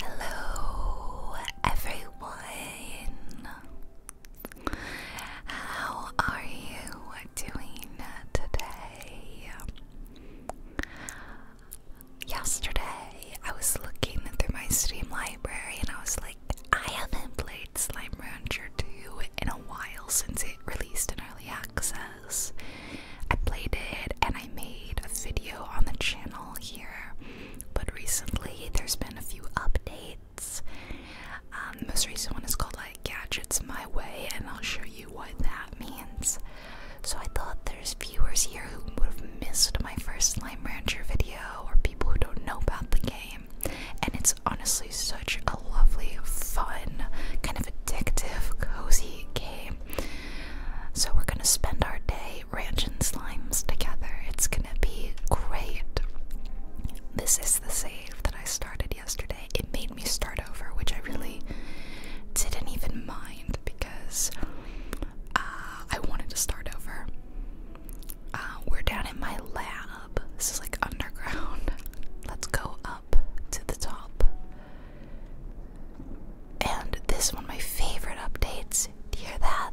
Hello, everyone. How are you doing today? Yesterday, I was looking through my Steam library and I was like, I haven't played Slime Rancher 2 in a while since it released in early access. I played it and I made a video on the channel here, but recently there's been a few updates. the um, most recent one is called like Gadgets My Way, and I'll show you what that means. So I thought there's viewers here who would have missed my first Slime Rancher video, or people who don't know about the game. And it's honestly such a lovely, fun, kind of addictive, cozy game. So we're gonna spend our day ranching slimes together. It's gonna be great. This is the save that I started yesterday. It made me start over, which I really didn't even mind because uh, I wanted to start over. Uh, we're down in my lab. This is like underground. Let's go up to the top. And this is one, of my favorite updates. Do you hear that?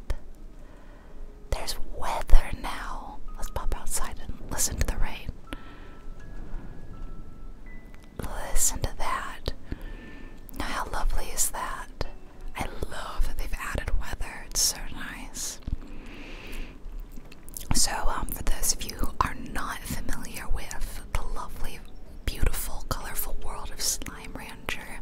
There's weather now. Let's pop outside and listen to the rain. Listen to that. Now, how lovely is that? I love that they've added weather, it's so nice. So, um, for those of you are not familiar with the lovely, beautiful, colorful world of Slime Rancher.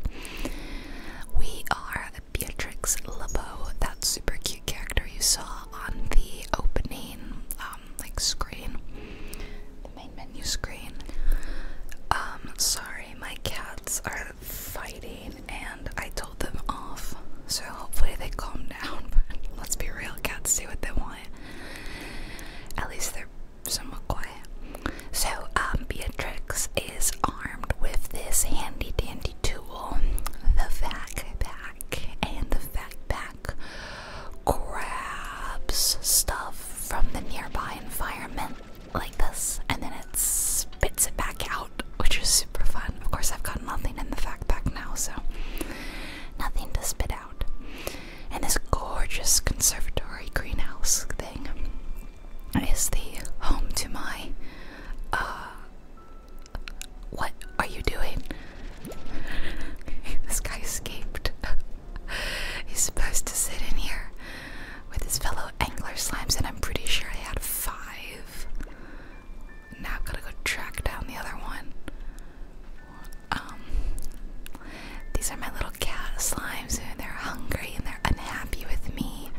We are Beatrix LeBeau, that super cute character you saw on the opening um, like screen, the main menu screen. Um, sorry, my cats are fighting and I told them off, so hopefully they calm down. But let's be real, cats see what they want. At least they're somewhat quiet. So, um, Beatrix is armed with this handy dandy tool, the pack, and the pack grabs stuff from the nearby environment like this, and then it spits it back out, which is super fun. Of course, I've got nothing in the pack now, so nothing to spit out out. And this gorgeous conservatory greenhouse thing is the home to my. Uh, what are you doing? this guy escaped. He's supposed to sit in here with his fellow angler slimes, and I'm pretty sure I had five. Now I've gotta go track down the other one. Um, these are my little cat slimes, and they're hungry and they're unhappy with me.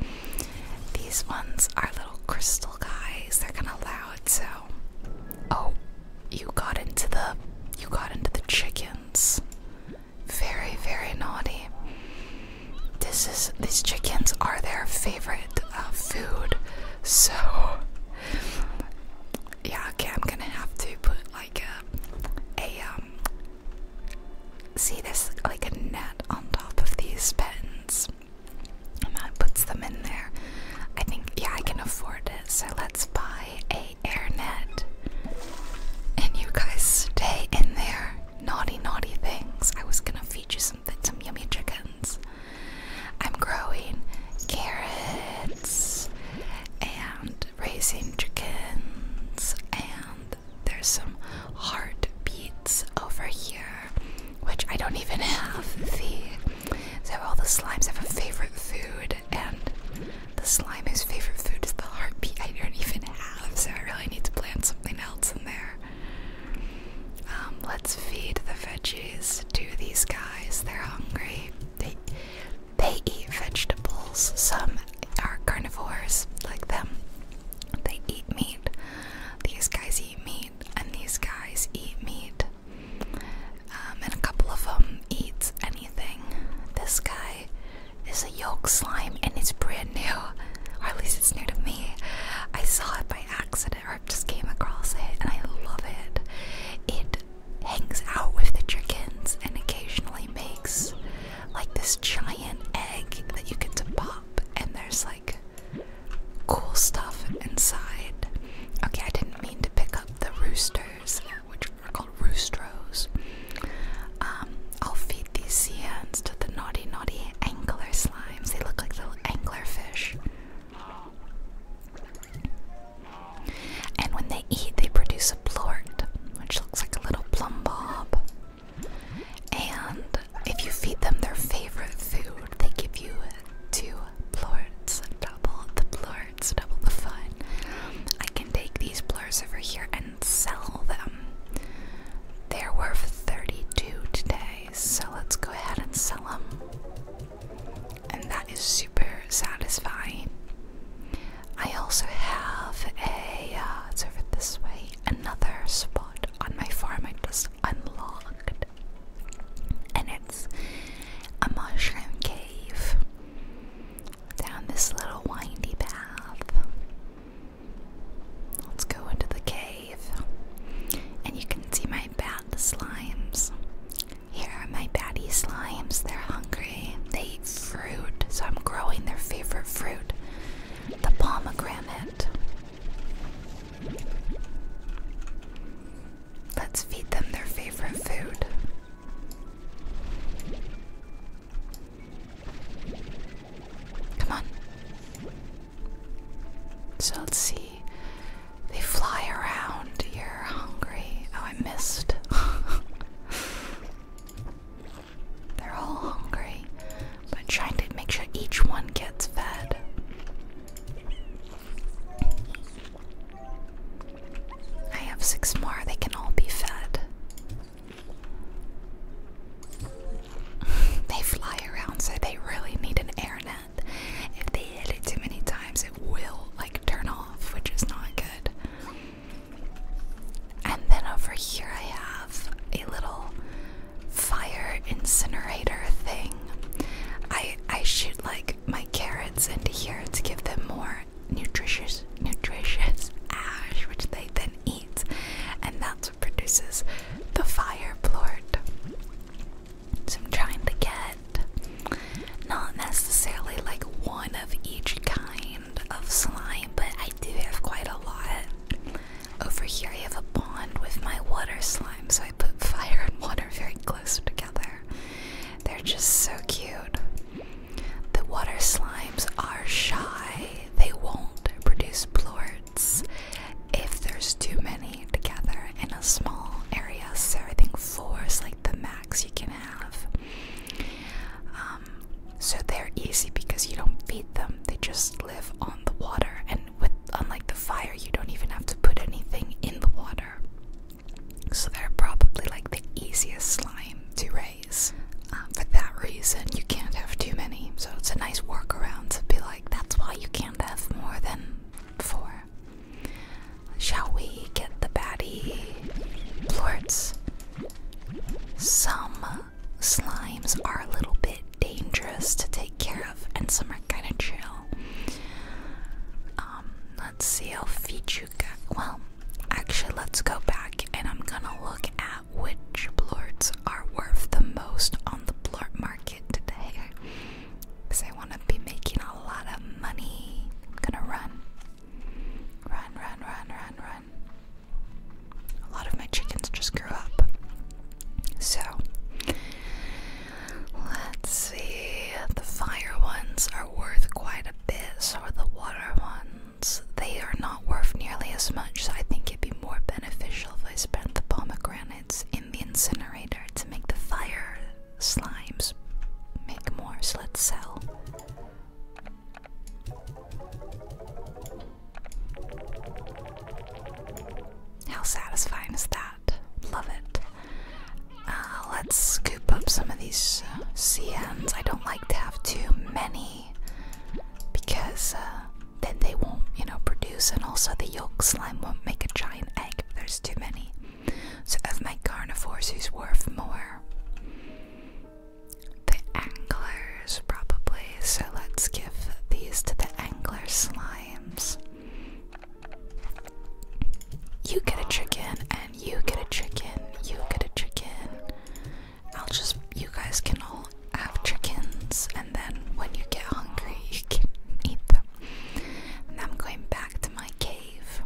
These ones are little crystal guys. They're kind of loud, so. Oh, you got into the you got into the chickens. Very, very naughty. This is these chickens are their favorite uh, food, so yeah. Okay, I'm gonna have to put like like a, a um, see this like a net on top of these pens, and that puts them in there. I think, yeah, I can afford it, so let's buy a air net. And you guys stay in there, naughty, naughty things. I was gonna feed you some some yummy chickens. I'm growing carrots and raising chickens, and there's some heartbeats over here, which I don't even have the. So all the slimes have a favorite food, and the slime whose favorite food is the heartbeat. I don't even have, so I really need to plant something else in there. Um, let's feed the veggies to these guys. They're hungry. They eat vegetables. Some are carnivores, like them. They eat meat. These guys eat meat, and these guys eat meat. Um, and a couple of them eats anything. This guy is a yolk slime, and it's brand new, or at least it's new to me. I saw it by accident, or just came across it, and I love it. It hangs out with the chickens and occasionally makes like this giant egg that you get to pop, and there's like cool stuff inside. Okay, I didn't mean to pick up the roosters, which are called roostros. Um, I'll feed these sea ants to the naughty, naughty angler slimes. They look like little angler fish. And when they eat, they produce a plort, which looks like a little plum bob. And if you feed them their favorite food, they give you two plorts. Double the plorts, double the fun. I can take these plorts over here and sell them. They're worth 32 today, so let's go ahead and sell them. And that is super satisfying. I also have a, uh, it's over this way, another spot on my farm I just unlocked. And it's a mushroom cave. Down this little windy path. Let's go into the cave. And you can see my bat slimes. Here are my batty slimes. They're hungry they eat fruit, so I'm growing their favorite fruit the pomegranate. Let's feed them their favorite food. Come on. So let's see. They fly around. You're hungry. Oh, I missed. They're all hungry, but trying to make sure each one gets fed. I have six more, they can all be fed. they fly around, so they really need an air net. If they hit it too many times, it will like turn off, which is not good. And then over here, I have a little fire incinerator thing. I I shoot like my carrots into here to give them more nutritious nutritious ash, which they then eat, and that's what produces the fire plort. So I'm trying to get not necessarily like one of each kind of slime, but I do have quite a lot. Over here, I have a pond with my water slime, so I put fire and water very close together. They're just so cute. The water slimes are shy, they won't produce blorts if there's too many together in a small area, so I think four is like the max you can have. Um, so they're easy because you don't feed them, they just live on the water. And with unlike the fire, you don't even have to put anything in the water. So they're probably like the easiest slime to raise. Um, for that reason, you can't have too many. So it's a nice workaround to be like, that's why you can't have more than four. Shall we get the baddie plorts? Some slimes are a little bit dangerous to take care of, and some are kind of chill. Um, let's see how feet you Well, actually, let's go back and I'm gonna look at which blorts are worth the most on the blort market today. Because I wanna be making a lot of money. I'm gonna run. Run, run, run, run, run. A lot of my chickens just grew up. So, let's see. The fire ones are worth quite a bit, or the water ones. They are not worth nearly as much, I think it'd be more beneficial if I spent the pomegranates in the incinerator to make the fire slimes make more. So, let's sell how satisfying is that? Love it. Uh, let's scoop up some of these uh, CNs. I don't like to have too many because uh, then they won't, you know, produce, and also the yolk slime won't make a giant egg if there's too many. So, of my carnivores, who's worth more? the anglers, probably. So let's give these to the angler slimes. You get a chicken, and you get a chicken, you get a chicken. I'll just, you guys can all have chickens, and then when you get hungry, you can eat them. I'm going back to my cave.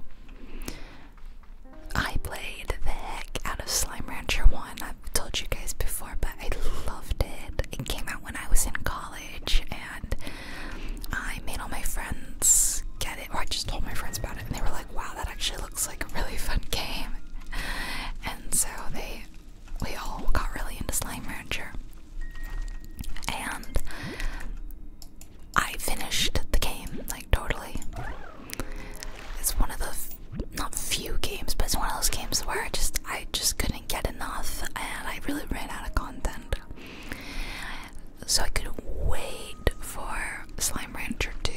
I played the heck out of Slime Rancher 1. I've told you guys before, but I loved it. It came out when I was in college, and I made all my friends get it, or I just told my friends about it, and they were like, wow, that actually looks like a really fun game. And so they, we all got really into Slime Rancher. And I finished the game, like, totally. It's one of the not few games, but it's one of those games where I just I just couldn't get enough, and I really ran out of content. So I could wait for Slime Rancher 2,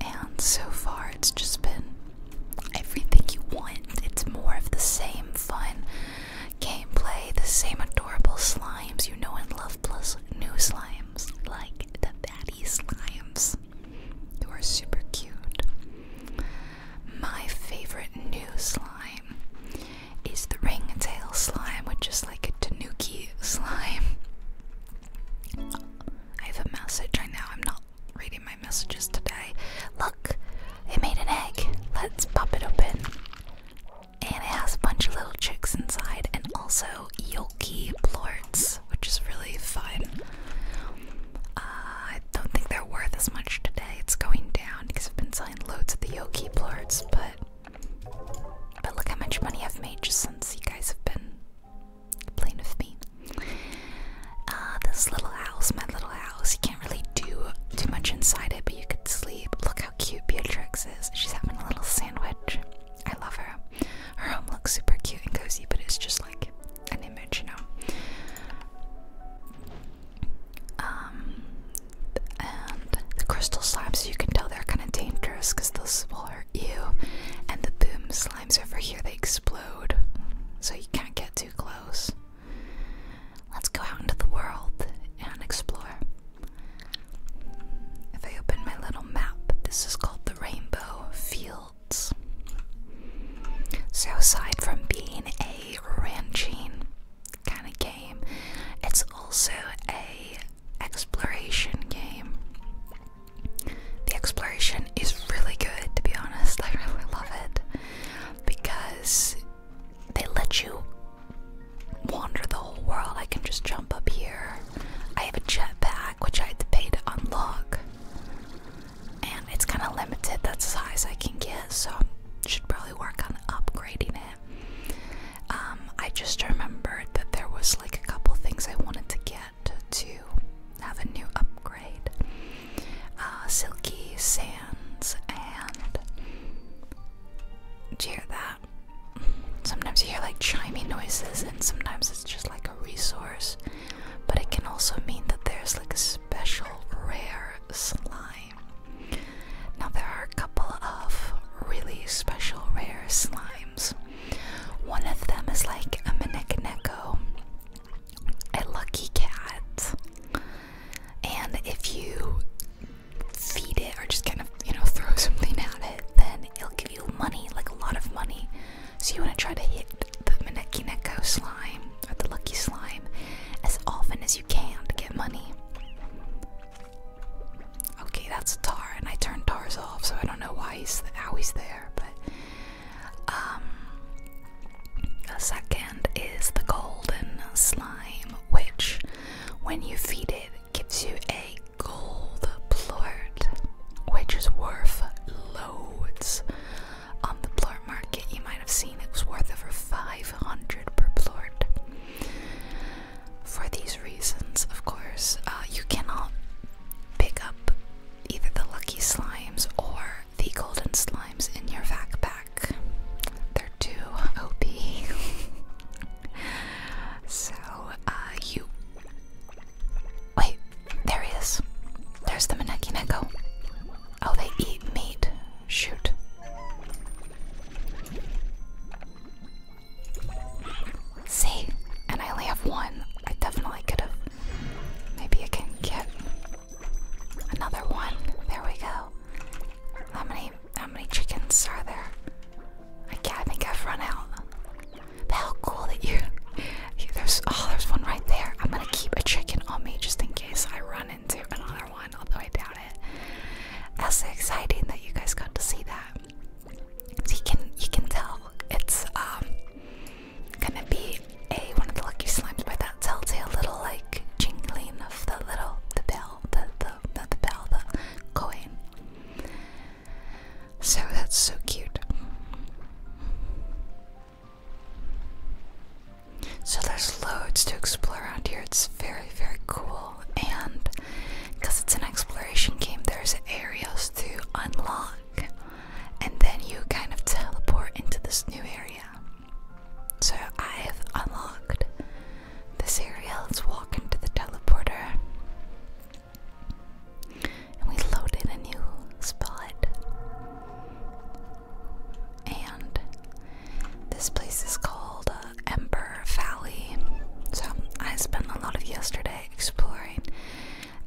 and so far it's just been everything you want. It's more of the same fun gameplay, the same adorable slimes you know and love, plus new slimes like the daddy slimes who are super cute. My favorite new slime is the ring tail slime, which is like a tanuki slime. I have a message right now. I'm not reading my messages today. Look, it made an egg. Let's pop it open. And it has a bunch of little chicks inside, and also also Yoki plorts, which is really fun. Uh, I don't think they're worth as much today. It's going down because I've been selling loads of the Yoki plorts, but but look how much money I've made just since you guys have been playing with me. Uh, this little house, my little house, you can't really do too much inside it, but you could sleep. Look how cute Beatrix is. She's having a little sandwich. I love her. Her home looks super cute and cozy, but it's just like an image, you know. Um, and the crystal slimes, you can tell they're kind of dangerous because they will hurt you. And the boom slimes over here, they explode, so you can't get too close. Let's go out into the world and explore. If I open my little map, this is called the rainbow fields. So, aside from being a ranching kind of game, it's also a exploration game. The exploration is really good, to be honest. I really love it because they let you wander the whole world. I can just jump up here. I have a jetpack which I had to pay to unlock. And it's kind of limited, that's the size I can get, so should probably work on upgrading it. Um, I just remembered that there was like a couple things I wanted to get to have a new upgrade. Uh, silky sands and do you hear that? Sometimes you hear like chiming noises and sometimes it's just like a resource but it can also mean that there's like a special rare slime. Now, there are a couple of really special rare slimes. One of them is like a Mineko, a lucky cat, and if you feed it or just kind of, you know, throw something at it, then it'll give you money, like a lot of money. So you want to try to hit the Maneki Neko slime or the lucky slime as often as you can to get money. Okay, that's Tar, and I turned Tar's off, so I don't know why he's how he's there. But the um, second is the golden slime, which, when you feed it, gives you a gold plort, which is worth loads on the plort market. You might have seen it was worth over 500 per plort. For these reasons, of course, uh, you cannot pick up either the lucky slimes or the golden slimes in your backpack. They're too OP. so, uh, you. Wait, there he is. There's the Maneki Neko. Oh, they eat meat. Shoot. See? And I only have one. I definitely could have. Maybe I can get another one. There we go. How many how many chickens are there? I can't I think I've run out how cool that you. There's oh, there's one right there. I'm gonna keep a chicken on me just in case I run into another one, although I doubt it. That's so exciting that you guys got to see that. So you can you can tell it's um gonna be a one of the lucky slimes by that telltale little like jingling of the little the bell the the not the bell the coin. So that's so cute. So there's loads to explore around here. It's very, very cool. And because it's an exploration game, there's areas to unlock. And then you kind of teleport into this new area. So I've unlocked this area. Let's walk into the teleporter. And we loaded a new spot. And this place is called uh, Ember Valley. So um, I spent a lot of yesterday exploring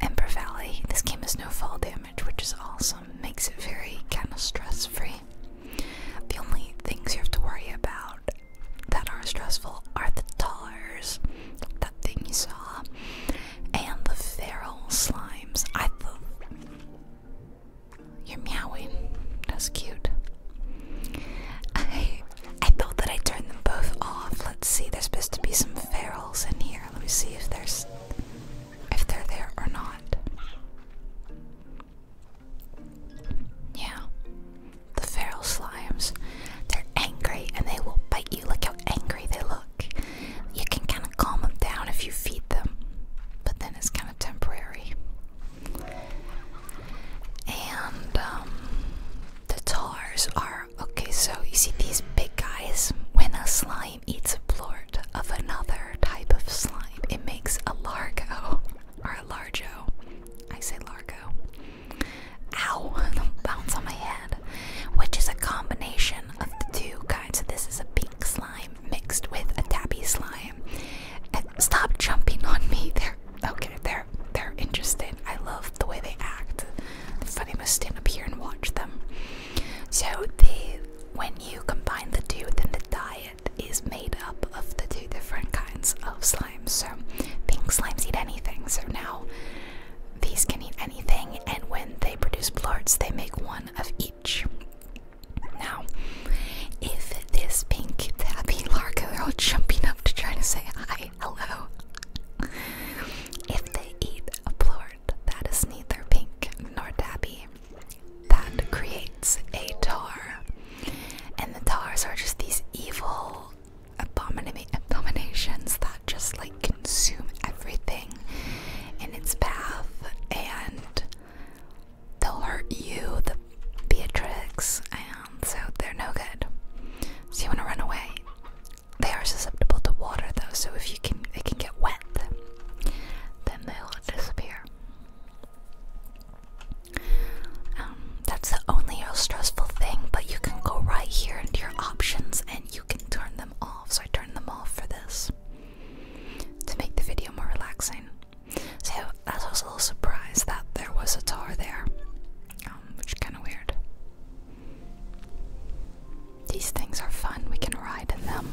Ember Valley. This game has no fall damage, which is awesome. Makes it very kind of stress free. The only things you have to worry about that are stressful are the tars, that thing you saw, and the feral slimes. I thought you're meowing. That's cute. I I thought that I turned them both off. Let's see. There's supposed to be some ferals in here. Let me see if there's if they're there or not. Yeah, the feral slimes. They're angry and they will bite you. Look how angry they look you can kind of calm them down if you feed them, but then it's kind of temporary. And um, the tars are okay, so you see these big guys. When a slime eats a blort of another type of slime, it makes a largo or a largo. I say largo. Ow! bounce on my head. Which is a combination of the two kinds. So this is a pink slime mixed with a tabby slime. stop jumping on me. They're okay. They're they're interesting. I love the way they act. funny must stand up here and watch them. So the when you combine the two, then the diet is made up of the two different kinds of slimes. So pink slimes eat anything. So now these can eat anything, and when they produce blorts, they make one of each. Now, if this pink tabby largo, they're all jumping up to try to say hi, hello. If they eat a blort that is neither pink nor tabby, that creates a tar. And the tars are just these evil abominations that just like consume everything in its path and they'll hurt you, the Beatrix, and so they're no good. So you want to run away. They are susceptible to water though, so if you can they can get wet, then they'll disappear. Um, that's the only real stressful thing, but you can go right here into your options and you can turn them off, so I turned them off for this to make the video more relaxing. So I was a little surprised that there was a tar there, um, which is kind of weird. These things are fun, we can ride in them.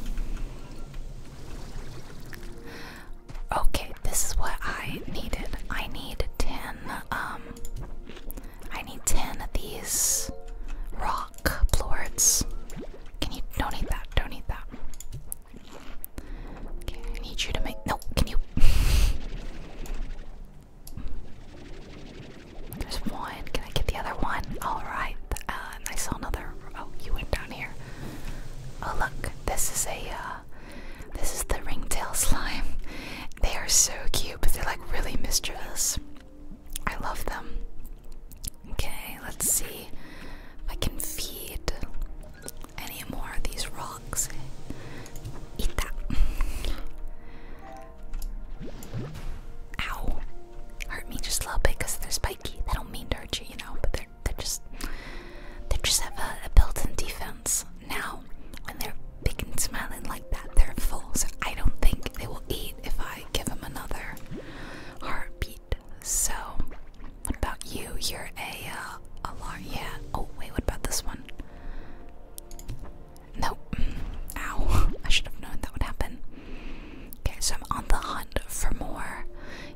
Okay, this is what I needed. I need 10 um, I need 10 of these rock plorts. Can you don't need that? Don't need that. Okay, I need you to make no, can you There's one. Can I get the other one? Alright. and uh, I saw another oh, you went down here. Oh look, this is a uh, this is the ringtail slime. They are so cute, but they're like really mischievous. I love them. Okay, let's see if I can feed any more of these rocks. Eat that. Ow. Hurt me just a little bit because they're spiky. They don't mean to hurt you, you know, but they're, they just, they just have a built in defense. Now, when they're they can smile it like that. They're full, so I don't think they will eat if I give them another heartbeat. So, what about you? You're a uh, alarm. Yeah. Oh wait, what about this one? No. Ow! I should have known that would happen. Okay, so I'm on the hunt for more.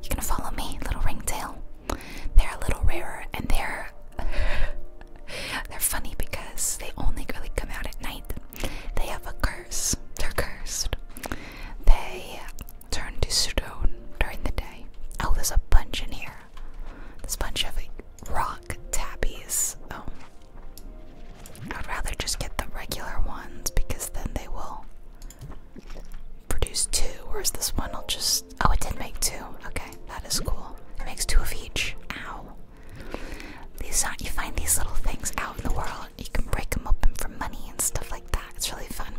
You are gonna follow me, little ringtail? They're a little rarer, and they're they're funny because they only really come out at night. They have a curse. They're cursed. They turn to stone during the day. Oh, there's a bunch in here. There's a bunch of rock tappies. Oh. I'd rather just get the regular ones because then they will produce two, Where's this one i will just. Oh, it did make two. Okay, that is cool. It makes two of each. Ow. These are, you find these little things out in the world. You can break them open for money and stuff like that. It's really fun.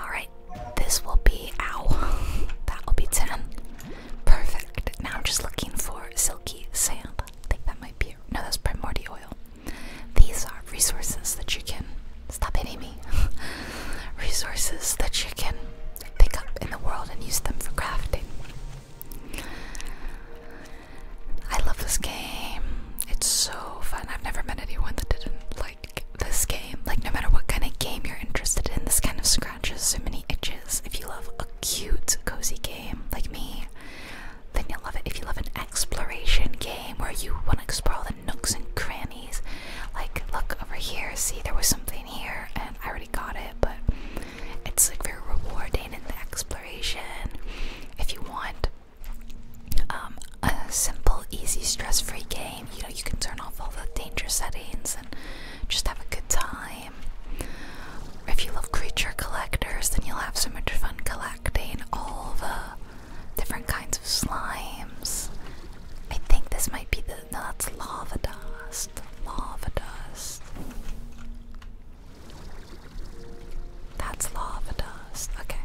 All right, this will be ow. That will be ten. Perfect. Now I'm just looking for silky sand. I think that might be. No, that's primordial oil. These are resources that you can. Stop hitting me. resources that you can pick up in the world and use them for crafting. I love this game. It's so fun. I've never met anyone that didn't like this game. Like, no matter what kind of game you're interested in, this kind of scratches so many itches. If you love a cute, cozy game like me, then you'll love it. If you love an exploration game where you want to explore all the nooks and crannies, like, look over here, see, there was something here, and I already got it, but it's like very rewarding in the exploration. If you want um, a simple, easy, stress-free game, you know you can turn off all the danger settings and just have a good time. If you love creature collectors, then you'll have so much fun collecting all the different kinds of slimes. I think this might be the no, that's lava lava dust. That's lava dust. Okay.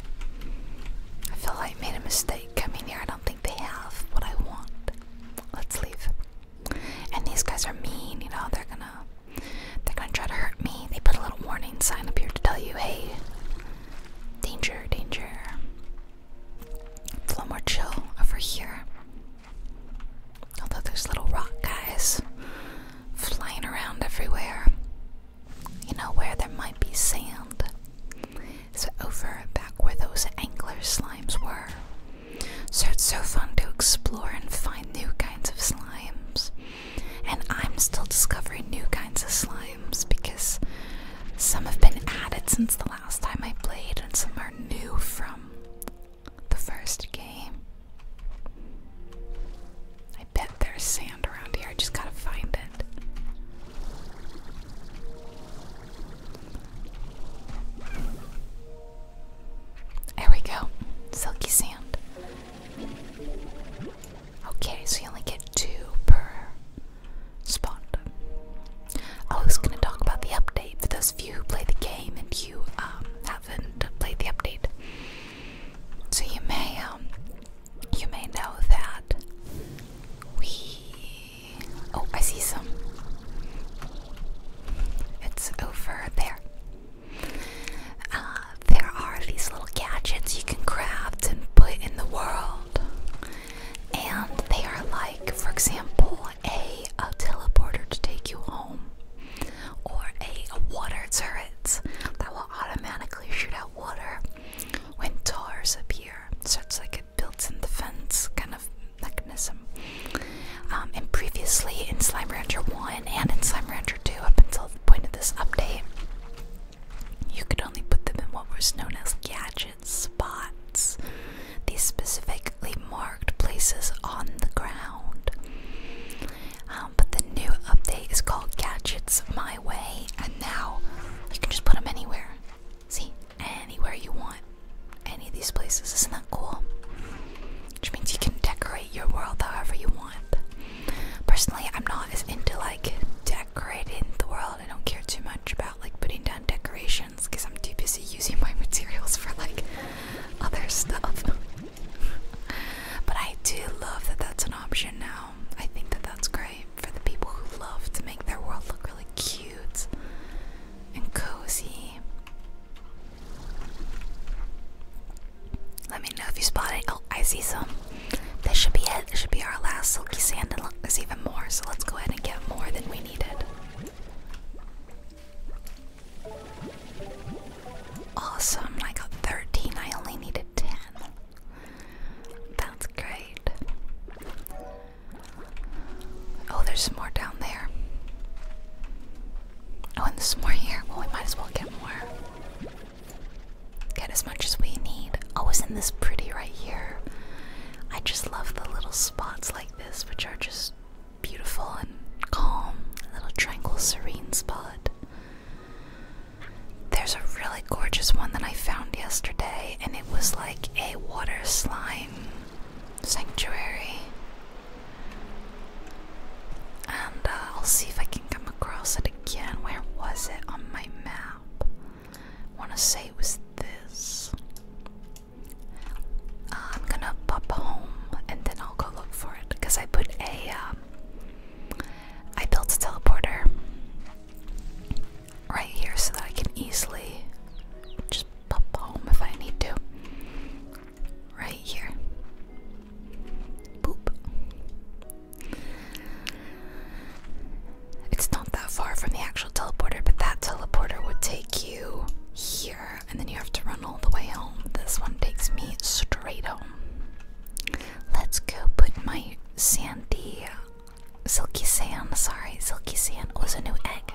I feel like I made a mistake coming here. I don't think they have what I want. Let's leave. And these guys are mean, you know, they're gonna they're gonna try to hurt me. They put a little warning sign up here to tell you, hey, danger, danger. a little more chill over here. Although there's little rock guys flying around everywhere. You know, where there might be sand. So, over back where those angler slimes were. So, it's so fun to explore and find new kinds of slimes. And I'm still discovering new kinds of slimes because some have been added since the last time I played and some are new from the first game. I bet there's sand around here. I just gotta find it. There we go. Silky sand. Okay, so you only get two per spot. I was gonna talk about the update for those of you who play the game and you um, have played the update. So you may um you may know that we oh I see some it's over there. Uh, there are these little gadgets you can craft and put in the world. And they are like, for example, a, teleporter to take you home or a, water turret that will automatically shoot out water when tars appear. So it's like a built-in defense kind of mechanism. Um, and previously in Slime Rancher 1 and in Slime Rancher 2 up until the point of this update, you could only put them in what was known as gadget spots. These specifically marked places on the ground um, but the new update is called Gadgets My Way, and now you can just put them anywhere. See, anywhere you want, any of these places. Isn't that cool? Which means you can decorate your world however you want. Personally, I'm not as into like decorating the world. I don't care too much about like putting down decorations because I'm too busy using my materials for like other stuff. but I do love that that's an option now. I think that that's great for the people who love to make their world look really cute and cozy. Let me know if you spot it. Oh, I see some. This should be it. This should be our last silky sand, and there's even more. So let's go ahead and get more than we needed. Awesome, I got 13, I only needed 10. That's great. Oh, there's more down there. Oh, and there's more here. Well, we might as well get more. Get as much as we need. Oh, isn't this pretty right here? I just love the little spots like this, which are just beautiful and calm, little tranquil, serene spot. There's a really gorgeous one that I found yesterday, and it was like a water slime sanctuary. And uh, I'll see if I can come across it again. Where was it on my map? I want to say it was this. I'm gonna pop home and then I'll go look for it because I put a. Um, I built a teleporter right here so that I can easily just pop home if I need to. Right here. Boop. It's not that far from the actual teleporter, but that teleporter would take you here and then you have to run all the way home. This one takes me straight home. Let's go put my sandy, silky sand, sorry, silky sand was a new egg.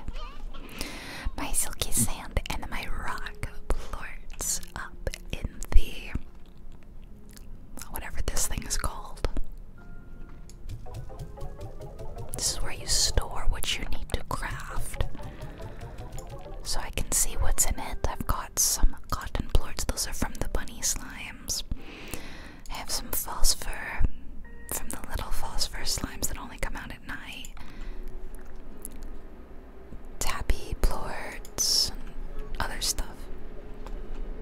My silky sand and my rock blorts up in the whatever this thing is called. This is where you store what you need to craft so I can see what's in it. I've got some cotton plorts, those are from the bunny slimes. I have some phosphor from the little phosphor slimes that only come out at night. Tabby plorts and other stuff.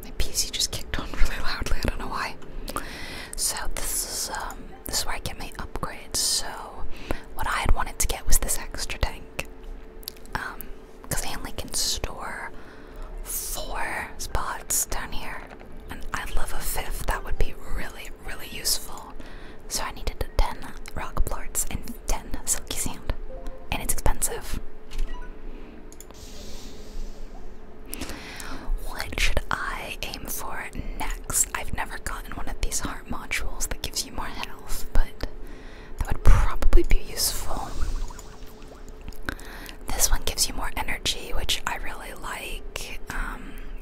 My PC just kicked on really loudly, I don't know why. So this is um this is where I get my upgrades. So, what I had wanted to get was this extra tank, because um, I only can store four spots down here, and i love a fifth. That would be really, really useful. So I needed ten rock blorts and ten silky sand, and it's expensive. What should I aim for next? I've never gotten one of these hard modules that gives you more health, but that would probably be useful. This one gives you more energy, which I really like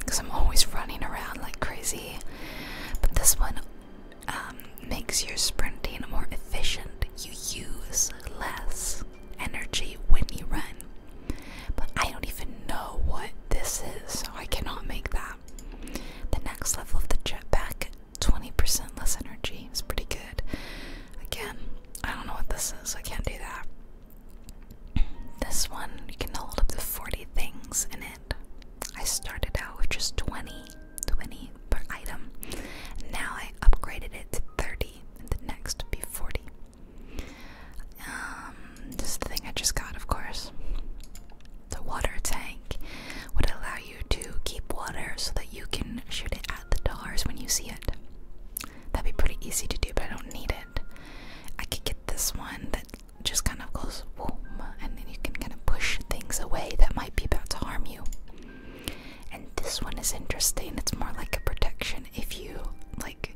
because um, I'm always running around like crazy. But this one um, makes your sprinting more efficient. You use less energy when you run. But I don't even know what this is, so I cannot make that the next level of the jetpack, 20% less energy, is pretty good. Again, I don't know what this is, I can't do that. This one, you can hold up to 40 things in it. I started out with just 20, 20 per item. Now I upgraded it to 30, and the next would be 40. Um, this is the thing I just got, of course. The water tank would allow you to keep water so that you can shoot it at the dollars when you see it. That'd be pretty easy to do, but I don't need it. I could get this one that just kind of goes boom, and then you can kind of push things away that might be about to harm you. And this one is interesting. It's more like a protection if you like,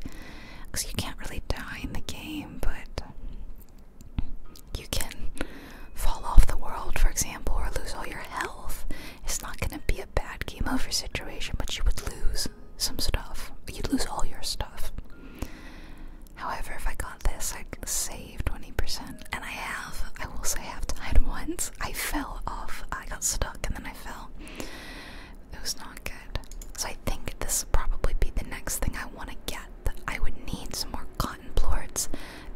because you can't really die in the game, but you can fall off the world, for example, or lose all your health. It's not going to be a bad game over situation, but you would lose some stuff. You'd lose all your stuff. However, if I got this, i saved 20%. And I have, I will say, I have died once. I fell off, I got stuck, and then I fell. It was not good. So I think this will probably be the next thing I want to get I would need some more cotton plorts,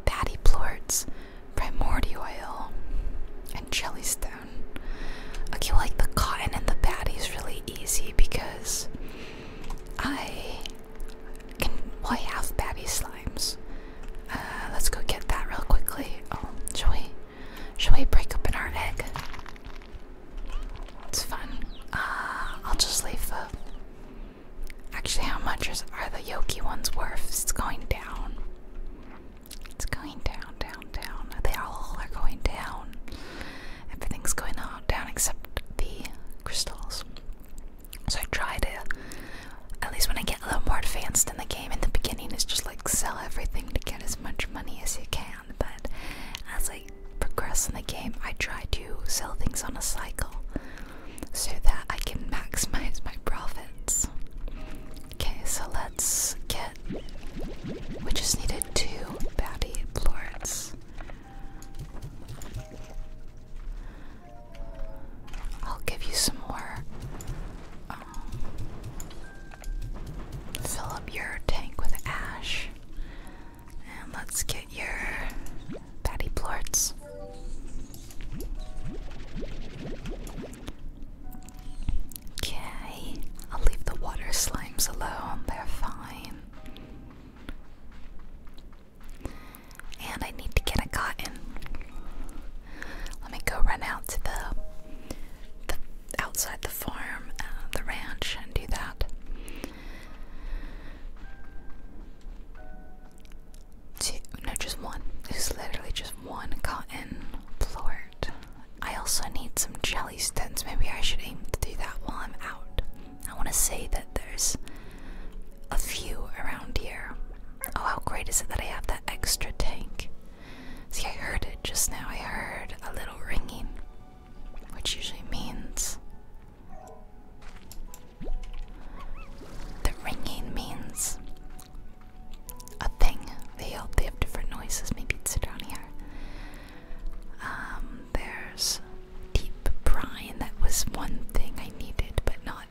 patty plorts, primordial oil, and jellystone. Okay, like the cotton and the patty is really easy because I can. play I have slimes. Uh, let's go get that real quickly. Oh, shall we? Shall we break open our egg? It's fun. Uh, I'll just leave the Actually, how much are the Yoki ones worth? It's going down. It's going down, down, down. They all are going down. Everything's going on down except the crystals. So I tried it. at least when I get a little more advanced in the game, in the beginning, is just like sell everything to get as much money as you can. But I was like progress in the game, I try to sell things on a cycle so that I can maximize my profits. Okay, so let's get. We just needed two bounty lords. I'll give you some more. Um, fill up your tank with ash. And let's get your patty plorts. Okay, I'll leave the water slimes alone, they're fine. And I need to get a cotton. Let me go run out to the, the outside the farm, uh, the ranch, and do that. Two, no, just one. It's literally just one cotton plort. I also need some jelly stents. Maybe I should aim to do that while I'm out. I want to say that there's a few around here. Oh, how great is it that I have that extra tank? See, I heard it just now. I heard a little ringing, which usually means the ringing means a thing. They all they have different noises. Maybe it's down here. Um, there's deep brine. That was one thing I needed, but not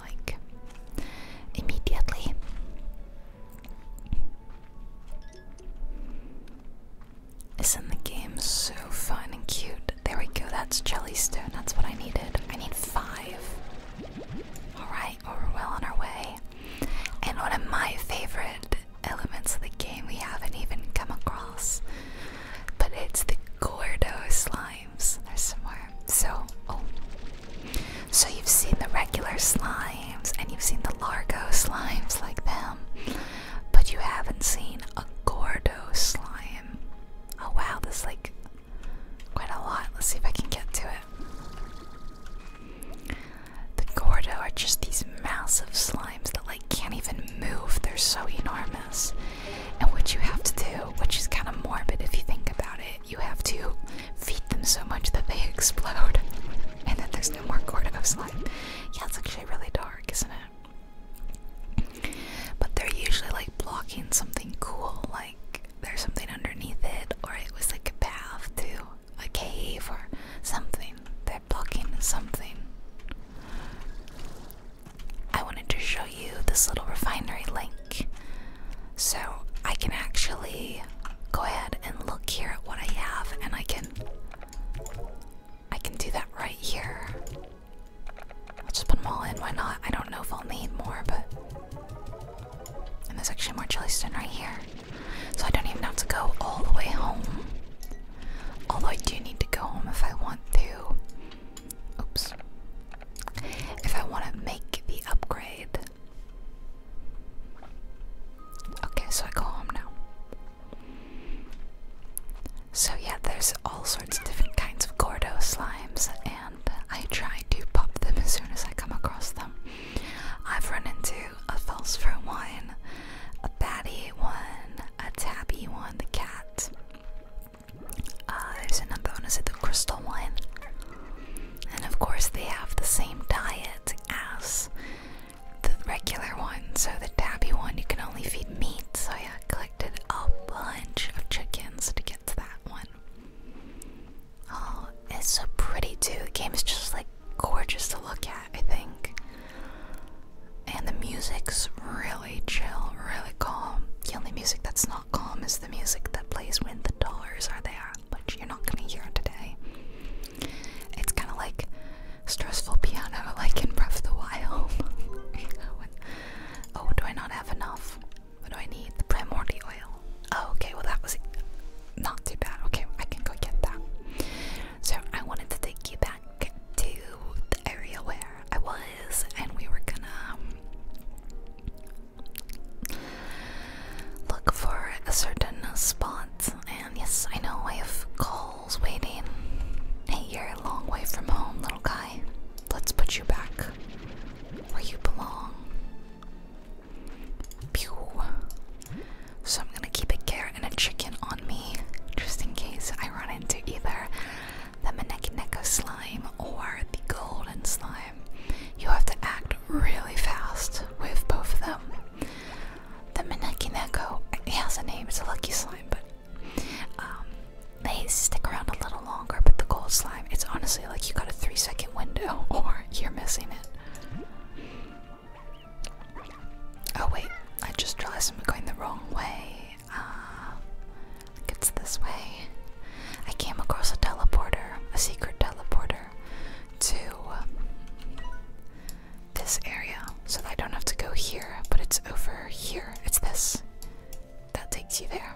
like immediately. Isn't the game so fun and cute? There we go, that's Jellystone, that's what I needed. I need five. Alright, we're well on our way. And one of my favorite elements of the game we haven't even come across, but it's the Gordo slimes. There's some more. So, oh. So you've seen the regular slimes and you've seen the Largo slimes like them, but you haven't seen a Gordo slime. Oh wow, there's like quite a lot. Let's see if I can get to it. The Gordo are just these massive slimes that like can't even move. They're so enormous. And what you have to do, which is kind of morbid if you think about it, you have to feed them so much that they explode. and then there's no more Gordo slime. Yeah, it's actually really dark, isn't it? But they're usually like blocking something cool, like there's something underneath it, or it was like a path to a cave or something. They're blocking something. I wanted to show you this little refinery link so I can actually go ahead and look here at what I have and I can I can do that right here. I'll just put them all in, why not? I don't know if I'll need more, but. And there's actually more Jellystone right here. So I don't even have to go all the way home. Although I do need to go home if I want to. Oops. If I want to make the upgrade. Okay, so I go home now. So yeah, there's all sorts of different kinds of Gordo slimes, and I try to pop them as soon as I come across them. I've run into a Felsfur one, a patty one, a Tabby one, the cat. Uh, there's another one, is it the crystal one? And of course, they have the same diet as the regular one. So the tabby one, you can only feed meat. So yeah, click a bunch of chickens to get to that one. Oh, it's so pretty too. The game is just like gorgeous to look at, I think. And the music's really chill, really calm. The only music that's not calm is the music that plays when the dollars are there, which you're not gonna hear today. It's kind of like stressful piano, like in "Rough the Wild. Oh, do I not have enough? What do I need? The primordial oil. Oh, okay, well, that was not too bad. Okay, I can go get that. So, I wanted to take you back to the area where I was, and we were gonna um, look for a certain spot. And yes, I know I have calls waiting. Hey, you're a long way from home, little guy. Let's put you back where you belong. Pew. So I'm gonna keep a carrot and a chicken on me, just in case I run into either the Maneki Neko slime or the golden slime. You have to act really fast with both of them. The Maneki Neko, has a name, it's a lucky slime, but um, they stick around a little longer, but the gold slime, it's honestly like you got a three second window or you're missing it. Oh, wait, I just realized I'm going the wrong way. Uh, it's this way. I came across a teleporter, a secret teleporter, to this area so I don't have to go here, but it's over here. It's this that takes you there.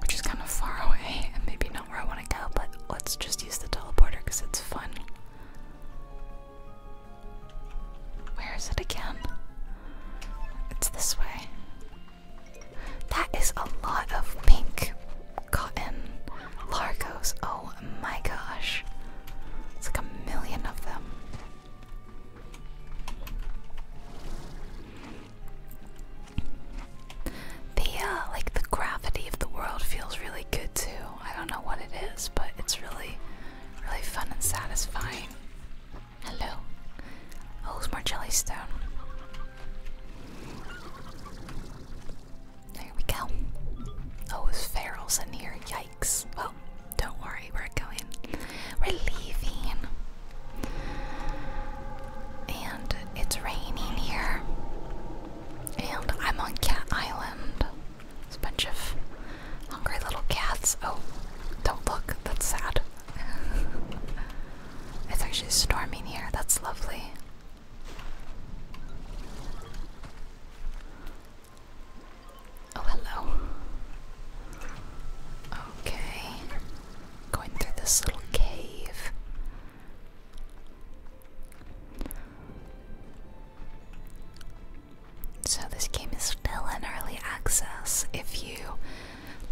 Which is kind of far away and maybe not where I want to go, but let's just use the teleporter because it's fun. Where is it again? It's this way. That is a lot of pink cotton largos. Oh my gosh. It's like a million of them. The uh, like the gravity of the world feels really good too. I don't know what it is, but it's really, really fun and satisfying. Hello. Oh, it's more jellystone. There we go. Oh, it's ferals in here. Yikes. Yikes. Well, don't worry, we're going. We're leaving. And it's raining here. And I'm on Cat Island. There's a bunch of hungry little cats. Oh, don't look. That's sad. it's actually storming here. That's lovely. Oh, hello. Okay. Going through this little cave. So, this game is still in early access. If you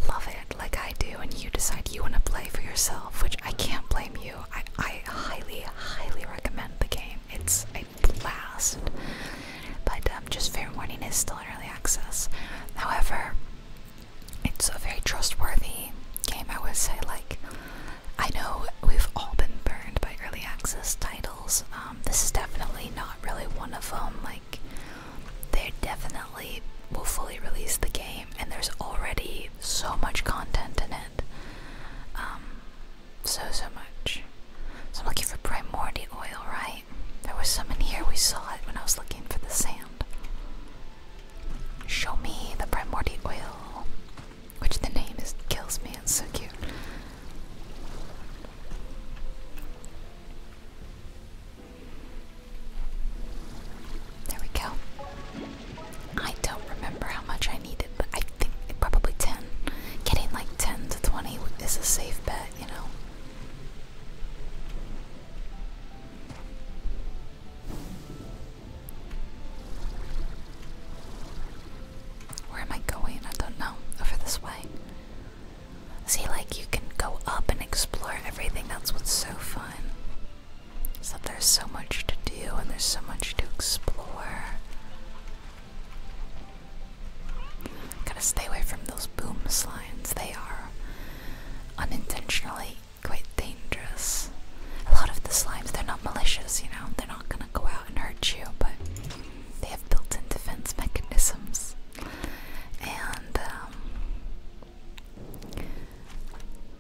love it like I do and you decide you want to play for yourself, which I can't blame you, I, I highly, highly recommend the game. It's a blast. But um, just fair warning its still in early access. However, it's a very trustworthy game, I would say. Like, I know we've all been burned by early access titles. Um, this is definitely not really one of them. Like, they definitely will fully release the game, and there's already so much content in it. Um, so, so much. So I'm looking for primordial oil, right? There was some in here, we saw it when I was looking for the sand. Show me the primordial oil, which the name is kills me, it's so cute. There we go. I don't remember how much I needed, but I think probably 10. Getting like 10 to 20 is a safe bet. Where am I going? I don't know. Over this way. See, like, you can go up and explore everything. That's what's so fun. Is that there's so much to do and there's so much to explore. Gotta stay away from those boom slimes. They are unintentionally quite dangerous. A lot of the slimes, they're not malicious, you know, they're not gonna go out and hurt you, but they have built in defense mechanisms. And um,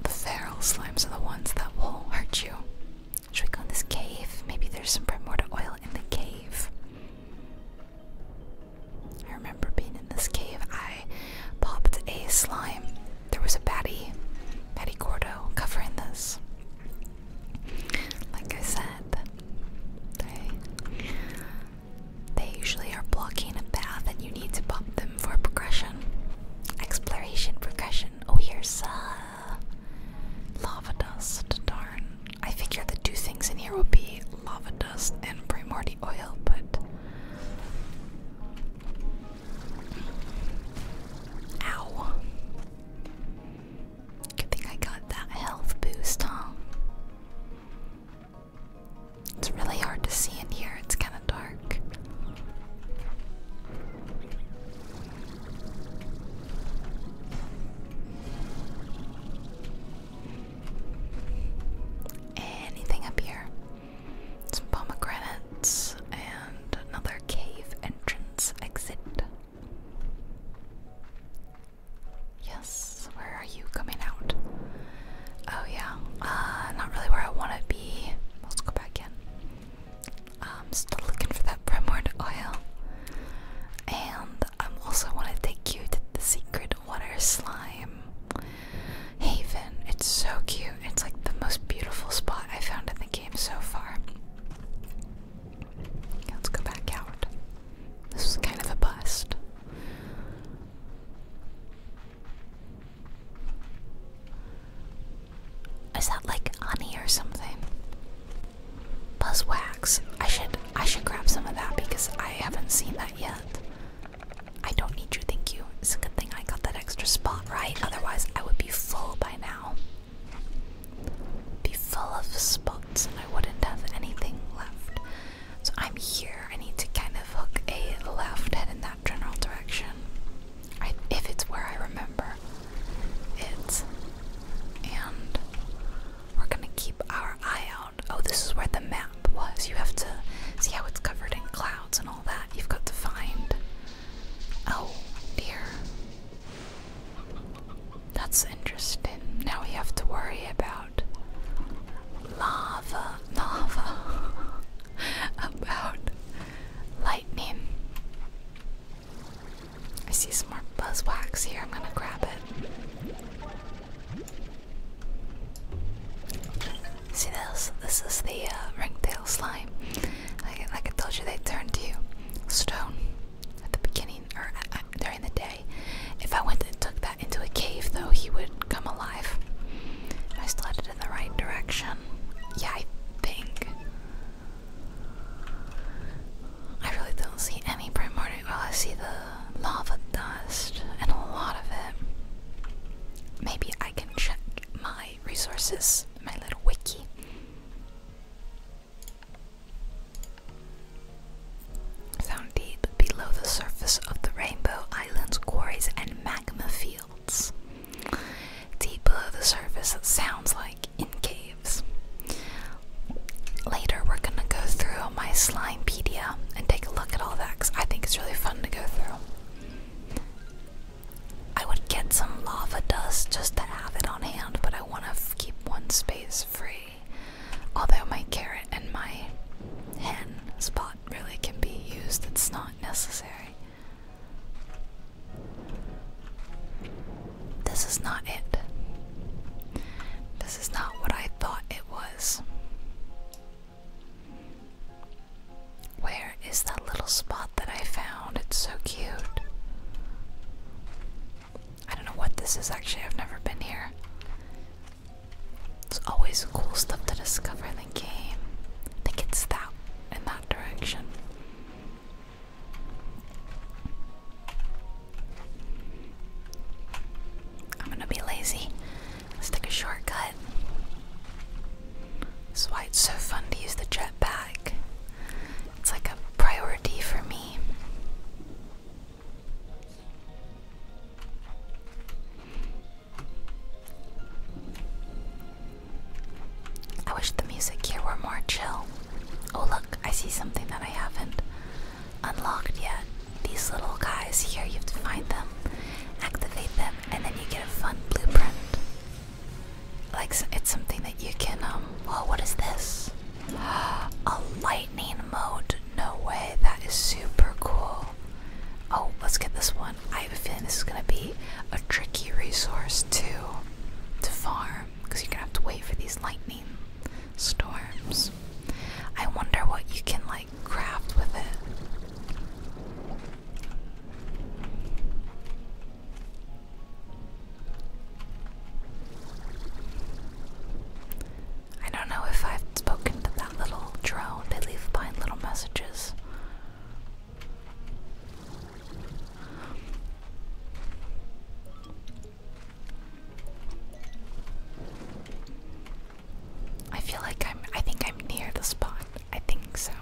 the feral slimes are the ones that will hurt you. Should we go in this cave? Maybe there's some primordial oil in the cave. I remember being in this cave. I popped a slime. There was a batty, batty gordo covering this. Like I said, they they usually are blocking a path, and you need to pop them for progression, exploration, progression. Oh, here's uh, lava dust. Darn. I figure the two things in here would be lava dust and primordial oil, but. Ow. Good thing I got that health boost, huh? It's really hard to see in here, it's kind of dark. Anything up here? Some pomegranates and another cave entrance exit. Yes, where are you coming out? Oh yeah, uh, not really where I want to be. Let's go back in. I'm still looking for that primord oil. And I'm also going to take you to the secret water slime haven. It's so cute. It's like the most beautiful spot I found in the game so far. Let's go back out. This was kind of a bust. Is that like honey or something? Buzzwax. I should I should grab some of that because I haven't seen that yet. I don't need you, thank you. It's a good thing I got that extra spot, right? Otherwise I would be full by now. Be full of spots and I wouldn't have anything left. So I'm here. I need to kind of hook a left head in that general direction. if it's where I remember it's And we're gonna keep our eye out. Oh, this is where the map was. You have to see how it's covered in clouds and all that. You've got to find. Oh, dear. That's interesting. Now we have to worry about lava, lava, about lightning. I see some more buzzwax here. I'm gonna grab it. See this? This is the uh, ringtail slime. Like, I told you, they turn to stone at the beginning or uh, uh, during the day. If I went and took that into a cave, though, he would come alive. I still had in the right direction. Yeah, I think. I really don't see any primordial. Well, I see the lava dust, and a lot of it. Maybe I can check my resources, my little wiki. Found deep below the surface of the rainbow islands, quarries, and magma fields. Deep below the surface, sounds like in caves. Later, we're gonna go through my Slimepedia and take a look at all that because I think it's really fun to go through. I would get some lava dust just to have it on hand, but I want to keep one space free. Although my carrot and my hen spot really can be used, it's not necessary. This is not it. This this is not what I thought it was. Where is that little spot that I found? It's so cute. I don't know what this is actually, I've never been here. It's always cool stuff to discover in the game. I think it's that in that direction. I'm gonna be lazy. let a shortcut. That's why it's so fun to use the jetpack. It's like a priority for me. I wish the music here were more chill. Oh, look, I see something that I haven't unlocked yet. These little guys here, you have to find them, activate them, and then you get a fun blueprint. Like it's something that you can um. Whoa, what is this? A lightning mode? No way. That is super cool. Oh, let's get this one. I have a feeling this is gonna be a tricky resource to to farm because you're gonna have to wait for these lightning storms. I wonder what you can like craft with it. I don't know if I've spoken to that little drone. They leave behind little messages. I feel like I'm I think I'm near the spot. I think so.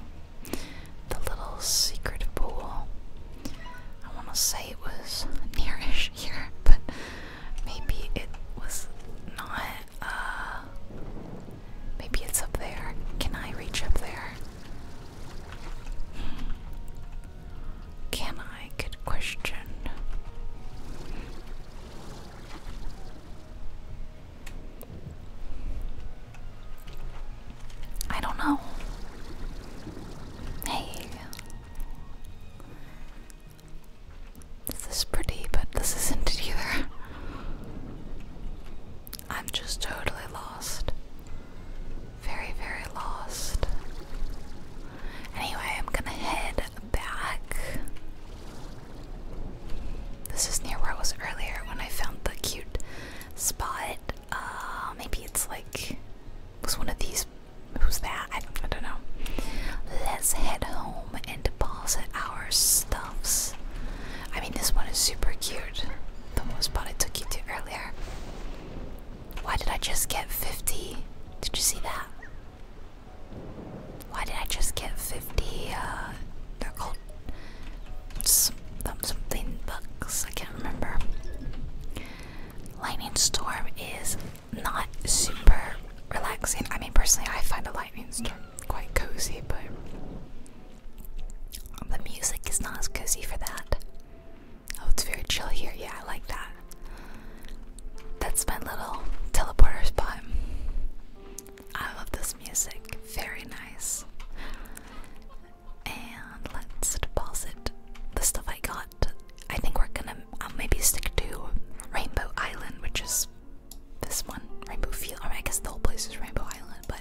The little secret pool. I wanna say it was nearish here, but maybe it was not uh, maybe it's up there. Can I reach up there? Hmm. Can I get questioned? I don't know. Hey. This is pretty, but this isn't it either. I'm just totally lost. Very, very lost. Anyway, I'm gonna head back. This is near where I was earlier when I found the cute spot. Uh, maybe it's like was one of these. Who's that? I don't know. Let's head home and deposit our stuffs. I mean, this one is super cute. The one spot I took you to earlier. Why did I just get 50? Did you see that? Why did I just get 50, uh, they're called um, something bucks, I can't remember. Lightning storm is not super relaxing. I mean, personally, I find a lightning storm quite cozy, but the music is not as cozy for that. Oh, it's very chill here. Yeah, I like that. That's my little teleporter spot. I love this music. Very nice. And let's deposit the stuff I got. I think we're gonna maybe stick to Rainbow Island, which is this one. Rainbow Field. I, I guess the whole place is Rainbow Island, but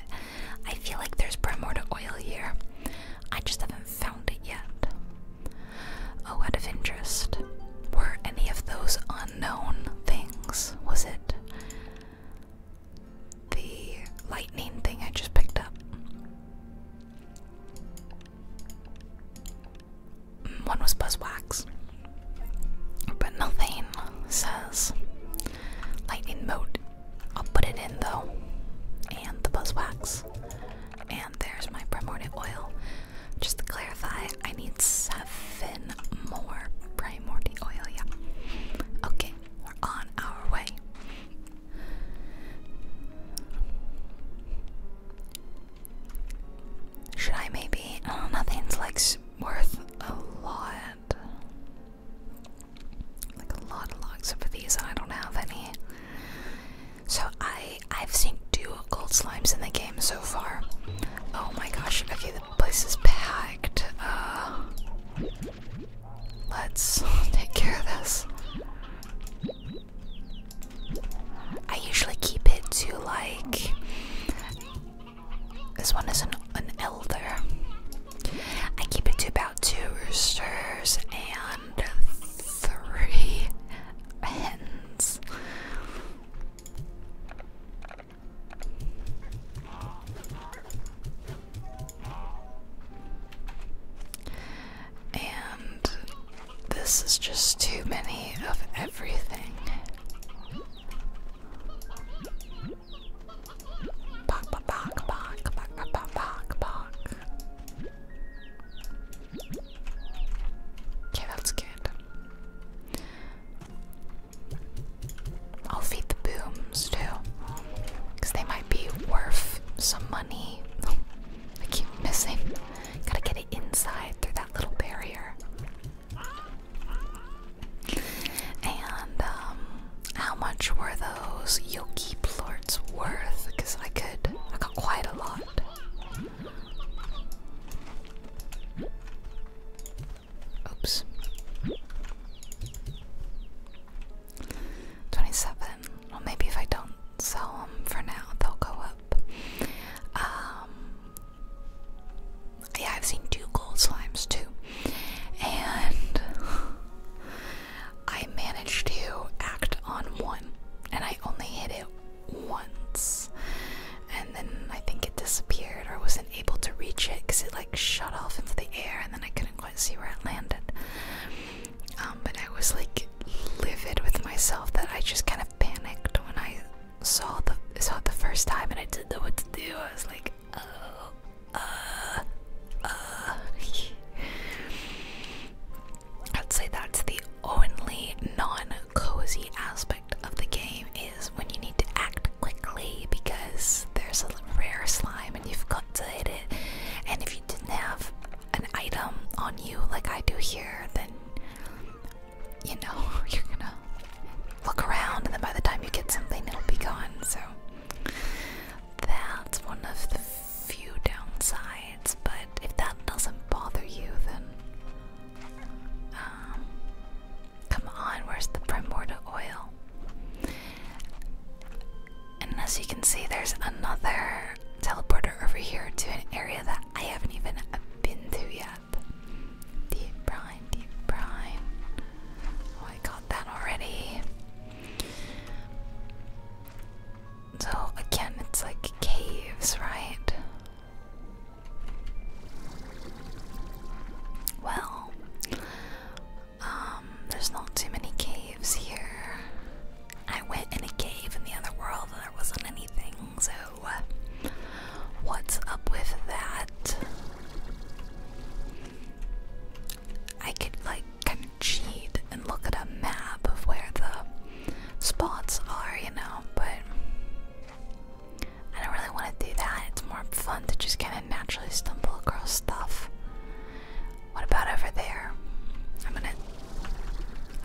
I feel like there's primordial oil here. I just haven't found it yet. Oh, out of interest, were any of those unknown things? Was it the lightning thing I just picked up? Mm, one was Buzzwax, but nothing says lightning mode. I'll put it in though, and the Buzzwax. And there's my primordial oil. Just to clarify, I need seven more primordial oil, yeah. Okay, we're on our way. Should I maybe? Oh, nothing's like worth a lot. Like a lot of logs for these, I don't have any. So I I've seen two gold slimes in the game so far. Oh my gosh! Okay, the place is packed. Uh, let's take care of this. I usually keep it to like. This one is an an elder. I keep it to about two roosters and three hens. And this is just too many of everything. Okay, that's good. I'll feed the booms too. they might be worth some money. I keep missing. Gotta get it inside through that little barrier. And, um, how much were those Yoki plorts worth? I could. I got quite a lot. Oops. 27. Well, maybe if I don't sell them for now, they'll go up. Um, yeah, I've seen two gold slimes too. And I managed to act on one, and I only hit it once and then I think it disappeared or wasn't able to reach it because it like shot off into the air and then I couldn't quite see where it landed. Um, but I was like livid with myself that I just kind of panicked when I saw the saw the first time and I didn't know what to do. I was like, uh, uh, uh. I'd say that's the only non-cozy aspect of the game is when you need to act quickly because there's a rare slime and you've got to hit it. And if you didn't have an item on you like I do here, then you know you're gonna look around, and then by the time you get something, it'll be gone. So that's one of the few downsides. But if that doesn't bother you, then um, come on, where's the primordial oil? And as you can see, there's another teleporter over here to an area that I haven't even been to yet. Deep brine, deep brine. Oh, I got that already. So, again, it's like caves, right? Well, um, there's not too many caves here. I went in a cave in the other world and there wasn't anything, so uh, what's up with that? I could, like, kind of cheat and look at a map of where the spots are, you know, but I don't really want to do that. It's more fun to just kind of naturally stumble across stuff. What about over there? I'm gonna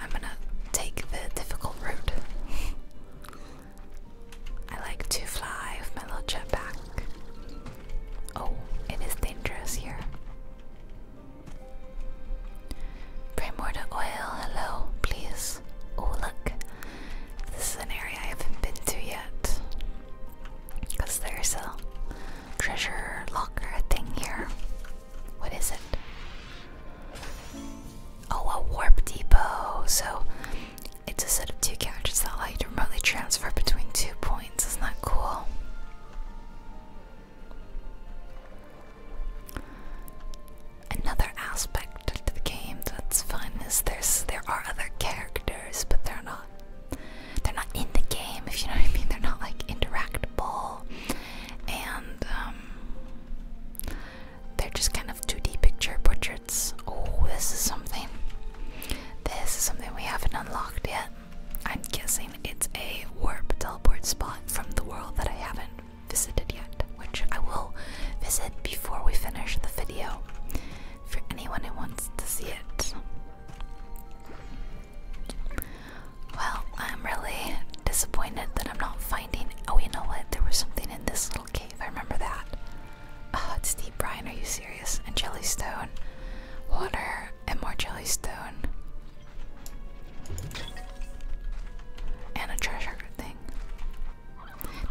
I'm gonna take the difficult route. I like to fly with my little jetpack. Oh, it is dangerous here. Primordial oil, hello, please. Oh, look. This is an area I haven't been to yet. Because there's a treasure locker thing here. What is it? Oh, a warp depot. So it's a set of two couches that allow to remotely transfer between two points. Isn't that cool? Another aspect of the game that's fun is there's there are other characters, but they're not they're not in the game, if you know what I mean. They're not like interactable, and um, they're just kind of 2D picture portraits. Oh, this is something. This is something we haven't unlocked yet. I'm guessing it's a warp teleport spot from the world that I haven't visited yet, which I will visit before we finish the video for anyone who wants to see it. Well, I'm really disappointed that I'm not finding. Oh, you know what? There was something in this little cave. I remember that. Oh, it's deep, Brian. Are you serious? And jellystone, water, and more jellystone, and a treasure.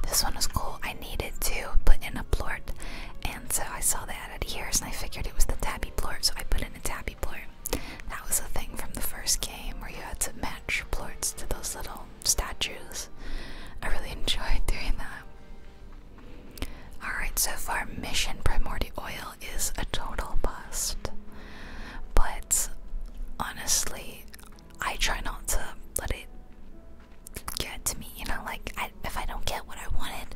This one was cool. I needed to put in a plort, and so I saw that at Here's and I figured it was the tabby plort, so I put in a tabby plort. That was a thing from the first game where you had to match plorts to those little statues. I really enjoyed doing that. Alright, so far, Mission Primordial Oil is a total bust. But honestly, I try not to let it get to me, you know, like if I don't get what I wanted,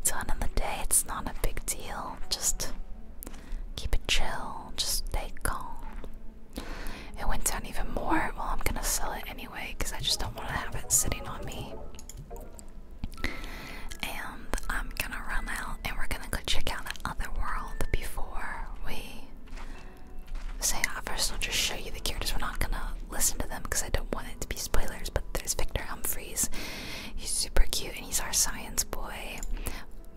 it's on in the day, it's not a big deal. Just keep it chill, just stay calm. It went down even more. Well, I'm gonna sell it anyway because I just don't want to have it sitting on me. And I'm gonna run out and we're gonna go check out the other world before we so yeah, uh, 1st I'll just show you the characters. We're not gonna listen to them because I don't want it to be spoilers. But there's Victor Humphreys. He's super cute and he's our science boy.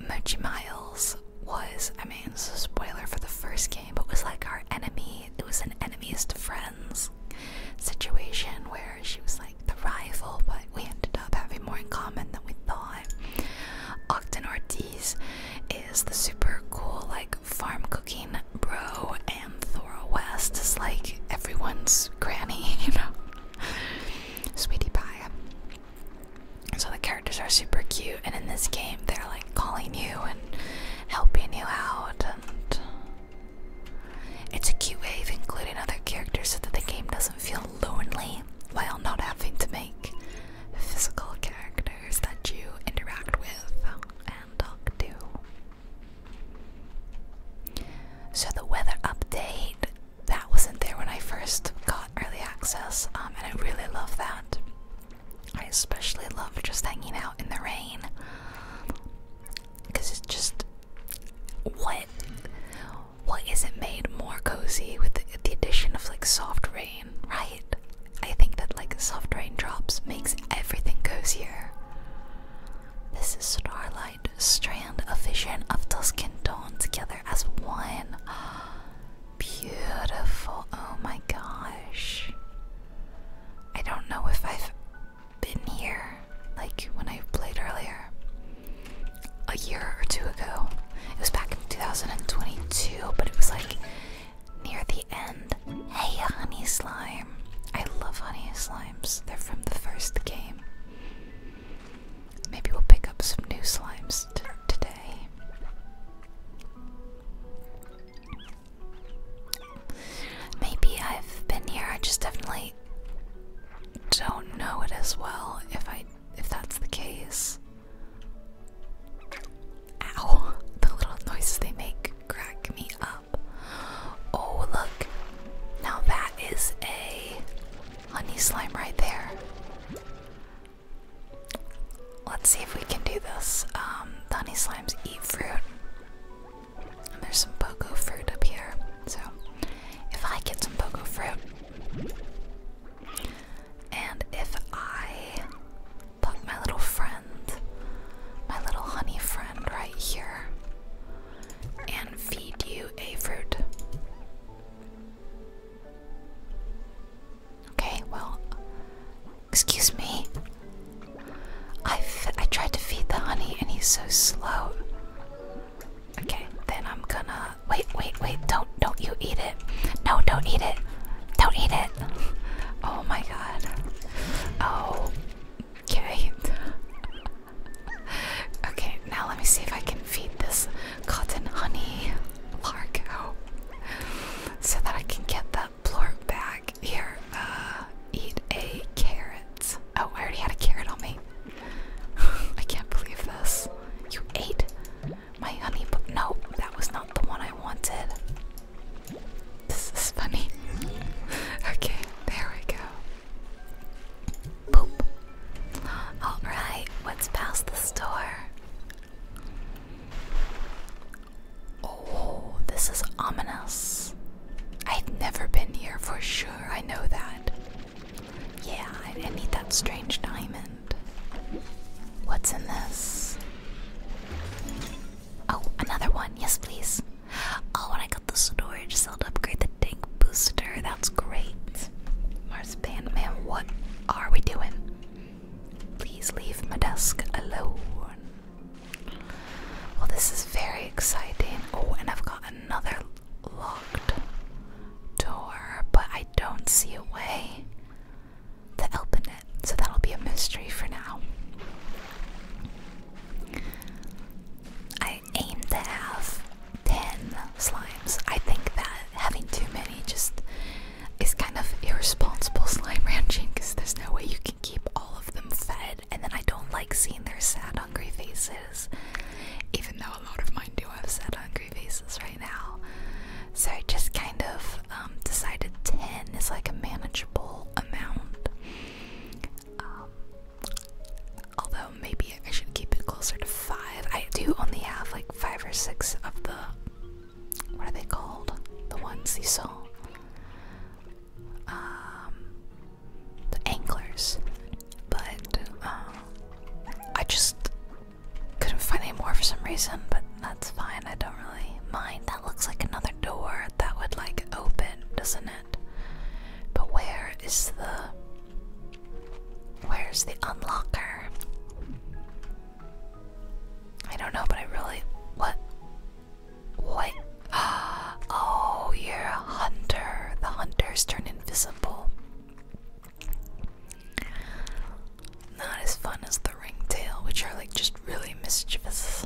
Mochi Miles was, I mean, it's a spoiler for the first game, but was like our enemy. It was an enemies to friends situation where she was like the rival, but we ended up having more in common than we thought. Ogden Ortiz is the super cool like farm cooking bro, and Thora West is like everyone's granny, you know, sweetie pie. So the characters are super cute, and in this game, they're like calling you and helping you out, and it's a cute way of including other characters so that the game doesn't feel lonely while not having to make physical characters that you interact with and talk to. So the weather update that wasn't there when I first got early access, um, and I really love that. I especially love just hanging out in the rain because it's just what what it made more cozy with the addition of like soft rain right? I think that like soft raindrops makes everything cozier. This is starlight, strand, a vision of dusk and dawn together as one. Beautiful. Oh my gosh. I don't know if I've been here like when I played earlier a year or two ago. It was back in 2022, but it was like near the end. Hey, honey slime. I love honey slimes. They're from the first game. Maybe we'll pick up some new slimes today. Maybe I've been here. I just definitely don't know it as well. If I, if that's the case, Ow! The little noises they make crack me up. Oh, look! Now that is a honey slime right there. Let's see if we can do this. Um, honey slimes eat fruit. And there's some pogo fruit up here. So, if I get some pogo fruit, and if I put my little friend, my little honey friend, right here and feed you a fruit. Okay, well, excuse me. I, I tried to feed the honey and he's so slow. Okay, then I'm gonna wait, wait, wait! Don't, don't you eat it? No, don't eat it! Don't eat it! Oh my god! Oh, okay. okay, now let me see if I can feed this cotton honey lark out so that I can get that blork back here. Uh, eat a carrot. Oh, I already had a carrot on me. I can't believe this. You ate my honey but no, that was not the one I wanted. This is funny. okay, there we go. Boop. Alright, what's past the store? Oh, this is ominous. I've never been here for sure, I know that. Yeah, I, I need that strange diamond. What's in this? Oh, another one. Yes, please. Oh, and I got the storage cell to upgrade the tank booster. That's great. Mars Band Man, what are we doing? Please leave my desk alone. Well, this is very exciting. Oh, and I've got another locked door, but I don't see a way the elp it, so that'll be a mystery for now. I aim to have 10 slimes. I think that having too many just is kind of irresponsible slime ranching because there's no way you can keep all of them fed, and then I don't like seeing their sad, hungry faces, even though a lot of mine do have sad, hungry faces right now. So I just kind of um, decided 10 is like a manageable amount. Um, although maybe I should keep it closer to 5. I do only have like 5 or 6 of the. What are they called? The ones you saw? Um, the anglers. But uh, I just couldn't find any more for some reason, but that's fine. I don't really mind. That looks like another door that would like open, doesn't it? But where is the where's the unlocker? I don't know, but I really what what? Oh, you're a hunter. The hunters turn invisible. Not as fun as the ringtail, which are like just really mischievous.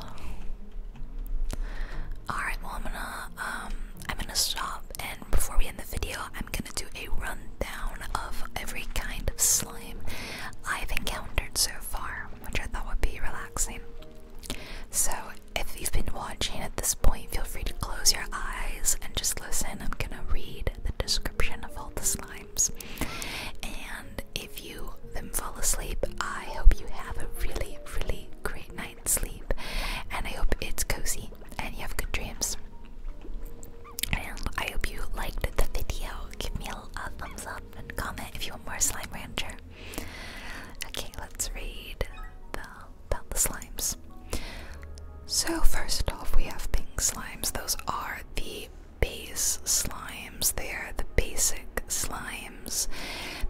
Alright, well I'm gonna um, I'm gonna stop and before we end the video I'm gonna do a rundown of every kind of slime I've encountered so far, which I thought would be relaxing. So if you've been watching at this point, feel free to close your eyes and just listen. I'm gonna read the description of all the slime. And if you then fall asleep, I hope you have a really, really great night's sleep. And I hope it's cozy and you have good dreams. And I hope you liked the video. Give me a, thumbs up and comment if you want more Slime Rancher. Okay, let's read about the slimes. So, first off, we have pink slimes. Those are the base slimes. They are the basic slimes.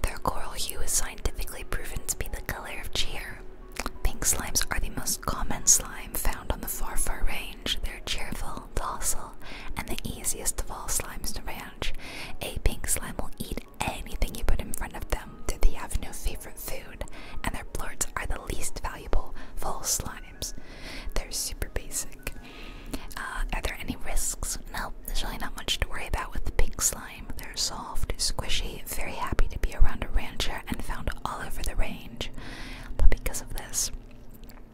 Their coral hue is scientifically proven to be the color of cheer. Pink slimes are the most common slime found on the far far range. They're cheerful, docile, and the easiest of all slimes to ranch. A pink slime will eat anything you put in front of them, though they have no favorite food, and their blorts are the least valuable full slime they're super basic. Uh, are there any risks? No, there's really not much to worry about with the pink slime. They're soft, squishy, very happy to be around a rancher, and found all over the range. But because of this,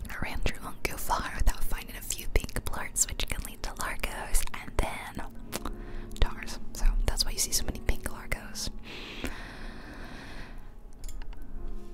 a rancher won't go far without finding a few pink blorts, which can lead to largos and then tars. So that's why you see so many pink largos.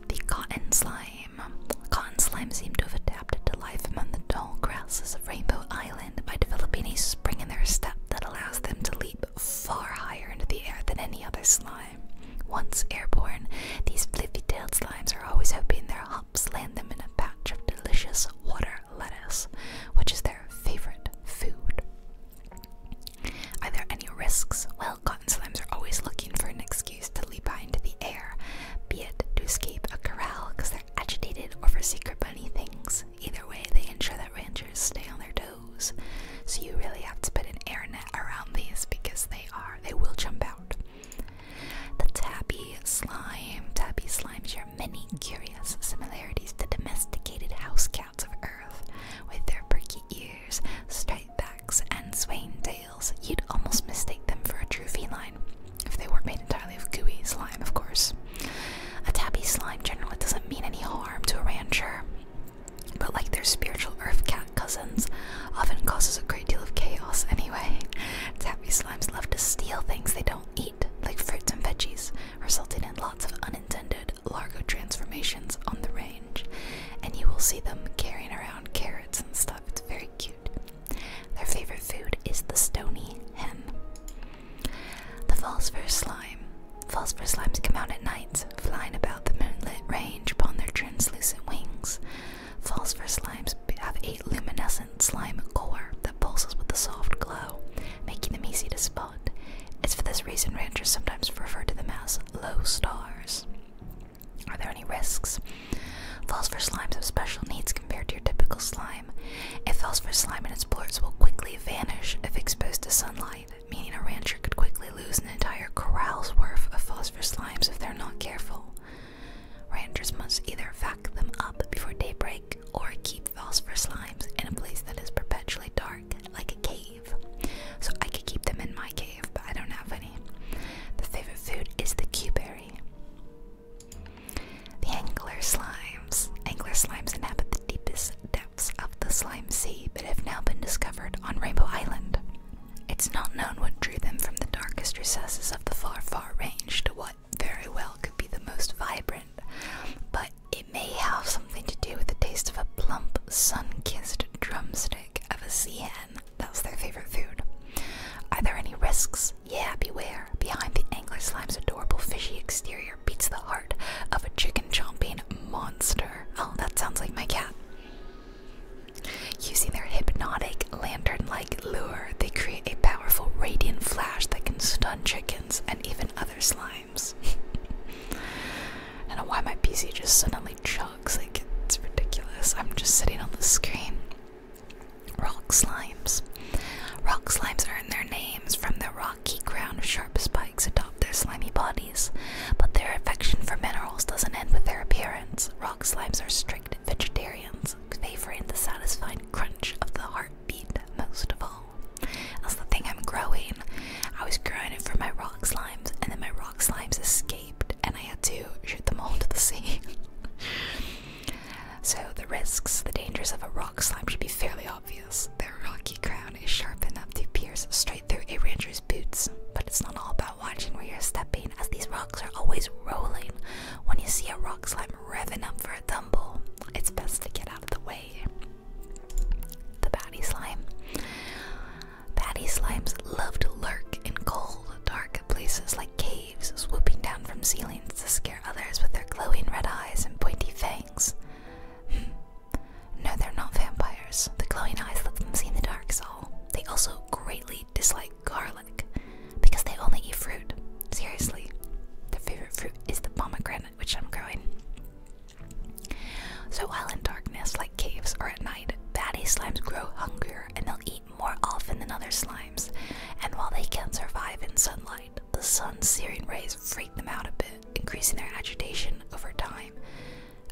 The cotton slime. Cotton slime seem to have adapted to life among the tall grasses of Rainbow Island by developing a spring in their step that allows them to leap far higher into the air than any other slime. Once airborne, these flippy tailed slimes are always hoping their hops land them in a patch of delicious water lettuce, which is their favorite food. Are there any risks? Well, Rotten slimes are always looking for an excuse to leap high into the air, be it to escape a corral because they're agitated over secret bunny things. Either way, they ensure that ranchers stay on their toes. So you really have to put an air net around these because they are they will jump out. The tabby slime. Tabby slime share many curious similarities to domesticated house cats of Earth, with their perky ears, straight backs, and swaying tails you'd almost mistake them for a true feline, if they weren't made entirely of gooey slime, of course. A tabby slime generally doesn't mean any harm to a rancher, but like their spiritual earth cat cousins, often causes a great deal of chaos anyway. Tabby slimes love to steal things they don't eat, like fruits and veggies, resulting in lots of unintended largo transformations on the range and you will see them carrying around carrots and stuff. It's very cute. Their favorite food is the stony hen. The falls for slime. Falls for slimes come out at night, flying about the moonlit range upon their translucent wings. Falls for slimes have a luminescent slime core that pulses with a soft glow, making them easy to spot. It's for this reason ranchers sometimes refer to them as low stars. Are there any risks? Falls slimes have special needs compared to your typical slime. It falls slime and its blurs will quickly vanish if exposed to sunlight, meaning a rancher could quickly lose an entire corral's worth of phosphor slimes if they're not careful. Ranchers must either vac them up before daybreak or keep phosphor slimes in a place that is perpetually dark, like a cave. So I could keep them in my cave, but I don't have any. The favorite food is the Q berry. The angler slimes. Angler slimes inhabit the deepest depths of the slime sea, but have now been discovered on Rainbow Island. It's not known what drew them from the darkest recesses of the far, far range to what very well could be the most vibrant, but it may have something to do with the taste of a plump, sun kissed drumstick of a sea that's their favorite food. Are there any risks? Yeah, beware. Behind the angler slime's adorable fishy exterior beats the heart of a chicken chomping monster. Oh, that sounds like my cat. Using their hypnotic, lantern like lure, they create a powerful radiant flash that can stun chickens and even other slimes. I why my PC just suddenly ch it's ridiculous. I'm just sitting on the screen. Rock slimes. Rock slimes earn their names from their rocky ground. Sharp spikes atop their slimy bodies, but their affection for minerals doesn't end with their appearance. Rock slimes are strict vegetarians, favoring the satisfying crunch of the heartbeat most of all. That's the thing I'm growing. I was growing it for my rock slimes, and then my rock slimes escaped and I had to shoot them all into the sea. so, the risks, the dangers of a rock slime should be fairly obvious. Their rocky crown is sharp enough to pierce straight through a ranger's boots. But it's not all about watching where you're stepping, as these rocks are always rolling. When you see a rock slime revving up for a tumble, it's best to get out of the way. The baddie slime. Fatty slimes love to lurk in cold, dark places like caves, swooping down from ceilings to scare others with their glowing red eyes and pointy fangs. Hmm. no, they're not vampires. The glowing eyes let them see in the dark, so they also greatly dislike garlic because they only eat fruit. Seriously, their favorite fruit is the pomegranate, which I'm growing. So while in darkness, like caves or at night, batty slimes grow hungrier and they'll eat more often than other slimes. And while they can survive in sunlight, the sun's searing rays freak them out a bit, increasing their agitation over time.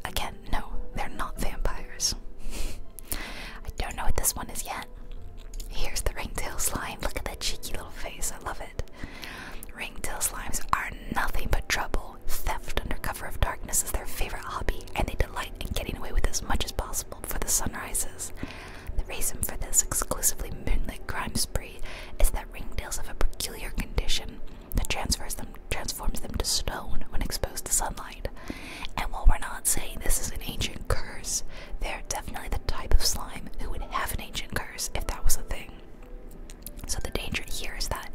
Again, no, they're not vampires. I don't know what this one is yet. Here's the ringtail slime. Look at that cheeky little face. I love it. Ringtail slimes are nothing but trouble. Theft under cover of darkness is their favorite hobby, and they Light and getting away with as much as possible before the sun rises. The reason for this exclusively moonlit crime spree is that ringtails have a peculiar condition that transfers them, transforms them to stone when exposed to sunlight. And while we're not saying this is an ancient curse, they're definitely the type of slime who would have an ancient curse if that was a thing. So the danger here is that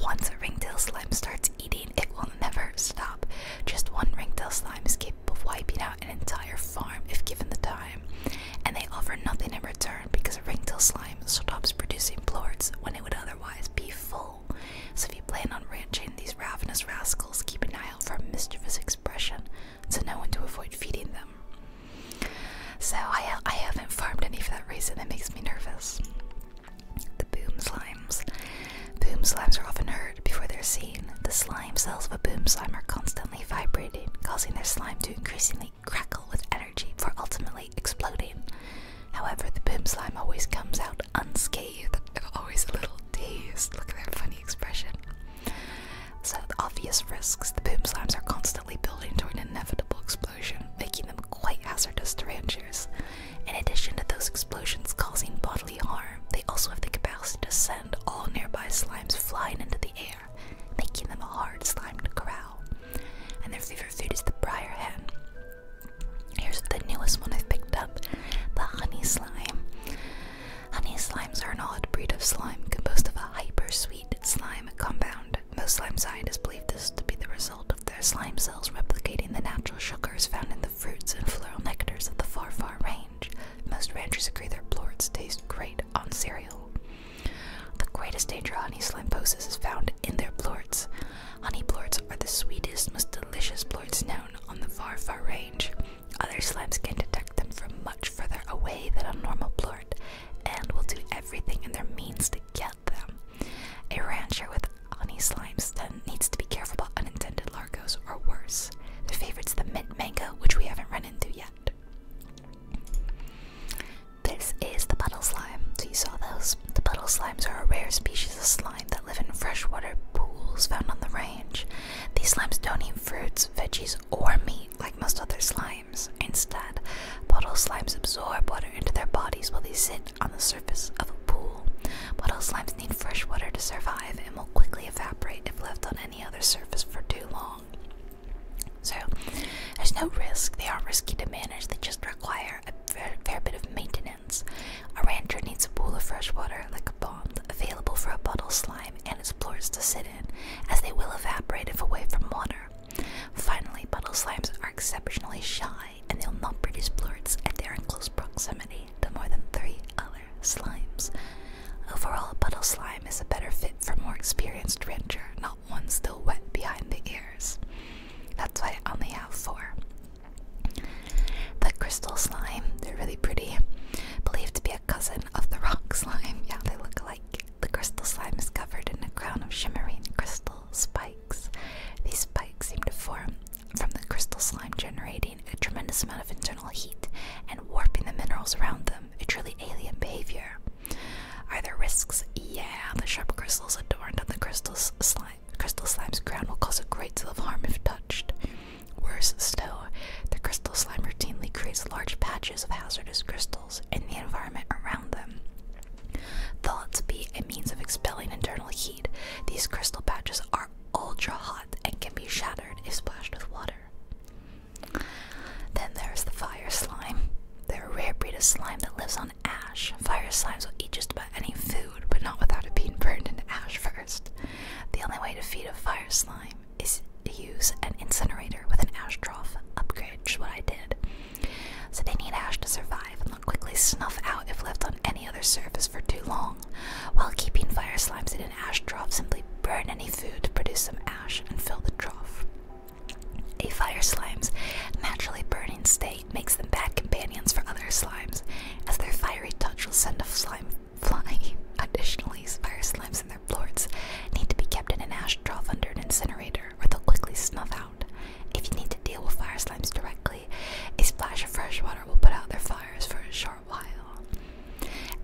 once a ringtail slime starts eating, it will never stop. Just one ringtail slime is capable of wiping out an entire farm if given the time, and they offer nothing in return because a ringtail slime stops producing plorts when it would otherwise be full. So if you plan on ranching these ravenous rascals, keep an eye out for mischievous expression to know when to avoid feeding them. So I, I haven't farmed any for that reason. It makes me nervous. The boom slimes. Boom slimes are often heard before they're seen. The slime cells of a boom slime are constantly vibrating, causing their slime to increasingly crackle with energy for ultimately exploding. However, the boom slime always comes out unscathed, always a little dazed. Look at that funny expression. So, the obvious risks the boom slimes are constantly building toward an inevitable explosion, making them quite hazardous to ranchers. In addition to those explosions causing bodily harm, they also have the capacity to send all nearby slimes flying into the air, making them a hard slime to corral. And their favorite food is the briar hen. Here's the newest one I've picked up the honey slime. Honey slimes are an odd breed of slime composed of a hyper sweet slime compound. Most slime scientists believe this to be the result of their slime cells replicating the natural sugars found in the fruits and floral nectars of the far far range. Most ranchers agree their plorts taste great on cereal. The greatest danger honey slimeposis is found in their plorts. Honey plorts are the sweetest, most delicious plorts known on the far far range. Other slimes can detect them from much further away than a normal plort and will do everything in their means to get them. A rancher with honey slimes that needs to be careful about unintended largos or worse. Their favorite's the mint mango, which we haven't run into yet. This is the puddle slime. So you saw those. The puddle slimes are a rare species of slime that live in freshwater pools found on the range. These slimes don't eat fruits, veggies, or meat like most other slimes. Instead, puddle slimes absorb water into their bodies while they sit on the surface of a pool. Puddle slimes need fresh water to survive and will quickly evaporate if left on any other surface for too long. So, there's no risk. They aren't risky to manage, they just require a fair, bit of maintenance. A rancher needs a pool of fresh water, like a pond, available for a puddle slime and its plores to sit in, as they will evaporate if away from water. Finally, puddle slimes are exceptionally shy and they'll not produce blurs if they are in close proximity to more than three other slimes. Overall, puddle slime is a better fit for more experienced rancher, not ones still wet behind the ears. That's why I only have four. The crystal slime, they're really pretty, believed to be a cousin of the rock slime. Yeah, they look like The crystal slime is covered in a crown of shimmering crystal spikes. These spikes seem to form from the crystal slime generating a tremendous amount of internal heat and warping the minerals around them, a truly alien behavior. Are there risks? Yeah, the sharp crystals adorned on the crystal slime. Crystal slime's ground will cause a great deal of harm if touched. Worse still, the crystal slime routinely creates large patches of hazardous crystals in the environment around them. Thought to be a means of expelling internal heat, these crystal patches are ultra hot and can be shattered if splashed with water. Then there's the fire slime. They're a rare breed of slime that lives on ash. Fire slimes will eat just about any food, but not without it being burned into ash first. The only way to feed a fire slime is to use an incinerator with an ash trough upgrade, which is what I did. So they need ash to survive quickly snuff out if left on any other surface for too long, while keeping fire slimes in an ash trough simply burn any food to produce some ash and fill the trough. A fire slime's naturally burning state makes them bad companions for other slimes, as their fiery touch will send a slime flying. Additionally, fire slimes and their lords need to be kept in an ash trough under an incinerator, or they'll quickly snuff out. If you need to deal with fire slimes directly, a splash of fresh water will put out their fire for a short while.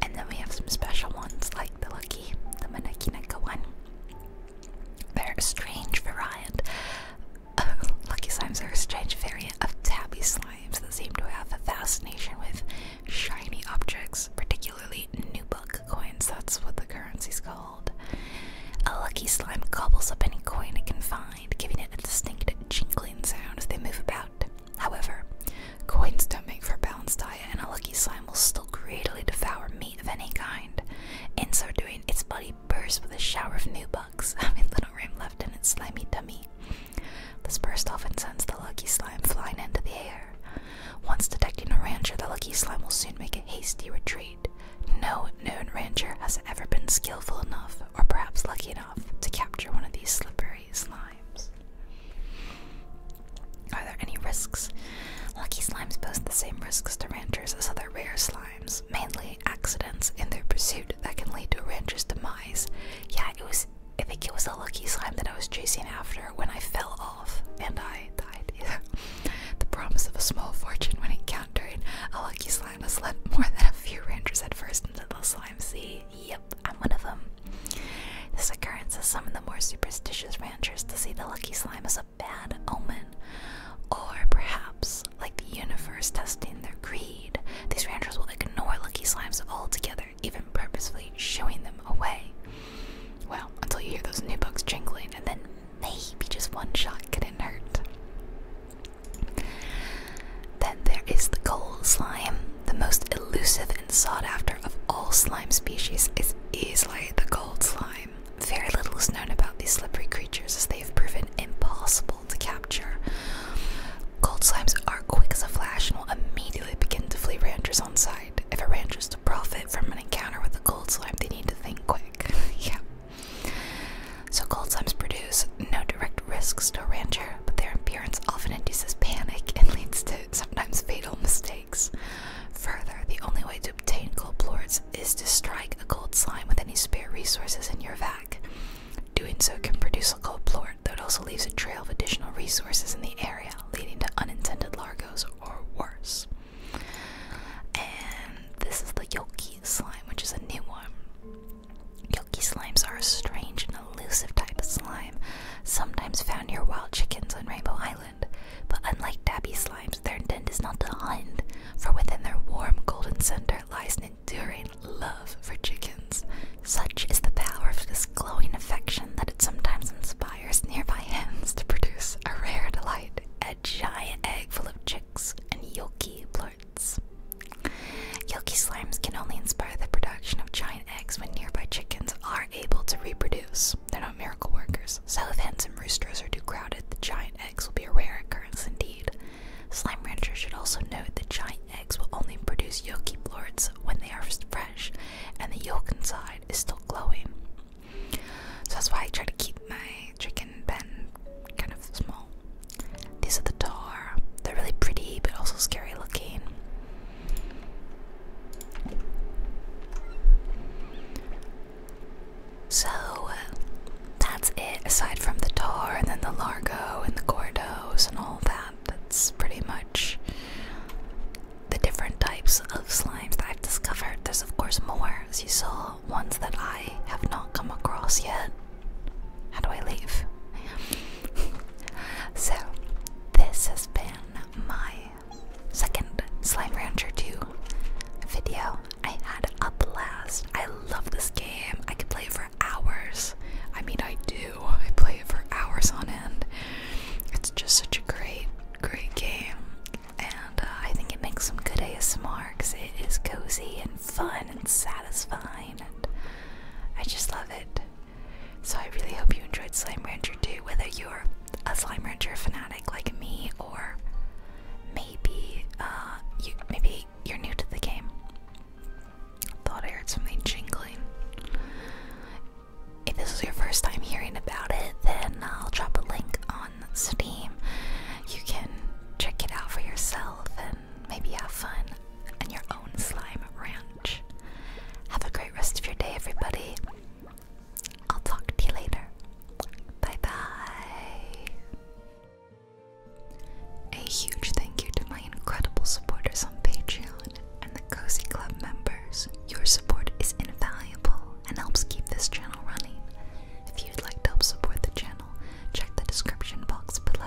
And then we have some special ones like the Lucky, the Manekineka one. They're a strange variant. lucky slimes are a strange variant of tabby slimes that seem to have a fascination with shiny objects, particularly new book coins. That's what the currency's called. A lucky slime gobbles up any coin it can find giving it a distinct jingling sound as they move about. However, coins don't make for a balanced diet, and a lucky slime will still greedily devour meat of any kind. In so doing, its body bursts with a shower of new bugs, having little room left in its slimy tummy. This burst often sends the lucky slime flying into the air. Once detecting a ranger, the lucky slime will soon make a hasty retreat. No known ranger has ever been skillful enough or perhaps lucky enough, to capture one of these slippery slimes. Are there any risks? Lucky slimes pose the same risks to ranchers as other rare slimes, mainly accidents in their pursuit that can lead to a rancher's demise. Yeah, it was. I think it was a lucky slime that I was chasing after when I fell off and I died. The promise of a small fortune when encountering a lucky slime has led more than a few ranchers at first into the YMC. Yep, I'm one of them. This occurrence has some of the more superstitious ranchers to see the lucky slime as a bad omen. Or perhaps, like the universe testing their greed, these ranchers will ignore lucky slimes altogether, even purposefully showing them away. Well, until you hear those new bugs jingling, and then maybe just one shot could hurt. Then there is the gold slime. The most elusive and sought after of all slime species is easily the gold slime. Very little is known about these slippery creatures as they have proven impossible to capture. Gold slimes are quick as a flash and will immediately begin to flee ranchers on sight. If a rancher is to profit from an encounter with a gold slime, they need to think quick. yeah. So cold slimes produce no direct risks to a rancher, but their appearance often induces panic and leads to sometimes fatal mistakes. Further, the only way to obtain cold plorts is to strike a cold slime with any spare resources in your vac. Doing so can produce a cold plort, though it also leaves a trail of additional resources in the area, leading to unintended largos or worse. And this is the Yoki slime, which is a new one. Yoki slimes are a strange and elusive type of slime, sometimes found near wild chickens on Rainbow Island. But unlike dabby slimes, their intent is not to hunt, for within their warm golden center lies an enduring love for chickens. Such is the power of this glowing affection that it sometimes inspires nearby hens to produce a rare delight, a giant egg full of chicks and yoki Yolkie slimes can only inspire the production of giant eggs when nearby chickens are able to reproduce. They're not miracle workers, so if hens and roosters are too crowded, the giant eggs will be a rare occurrence indeed. Slime ranchers should also note that giant eggs will only produce yolkie lords when they are fresh, and the yolk inside is still glowing. So that's why I try to keep my chicken pen kind of small. These are the tar. They're really pretty but also scary looking. So that's it aside from the tar and then the largo and the gordos and all that. That's pretty much the different types of slimes that I've discovered. There's of course more as you saw ones that I have not come across yet. How do I leave? so, this has been my second Slime Rancher 2 video. I had a blast. I love this game. I could play it for hours. I mean, I do. I play it for hours on end. It's just such a great, great game. And uh, I think it makes some good ASMR because it is cozy and fun and satisfying. I just love it. So I really hope you enjoyed Slime Rancher 2, whether you're a Slime Rancher fanatic like me, or maybe uh, you maybe you're new to the game. Thought I heard something jingling. If this is your first time hearing about it, then I'll drop a link on Steam. You can check it out for yourself maybe have fun on your own slime ranch. Have a great rest of your day, everybody. I'll talk to you later. Bye bye. A huge thank you to my incredible supporters on Patreon and the Cozy Club members. Your support is invaluable and helps keep this channel running. If you'd like to help support the channel, check the description box below.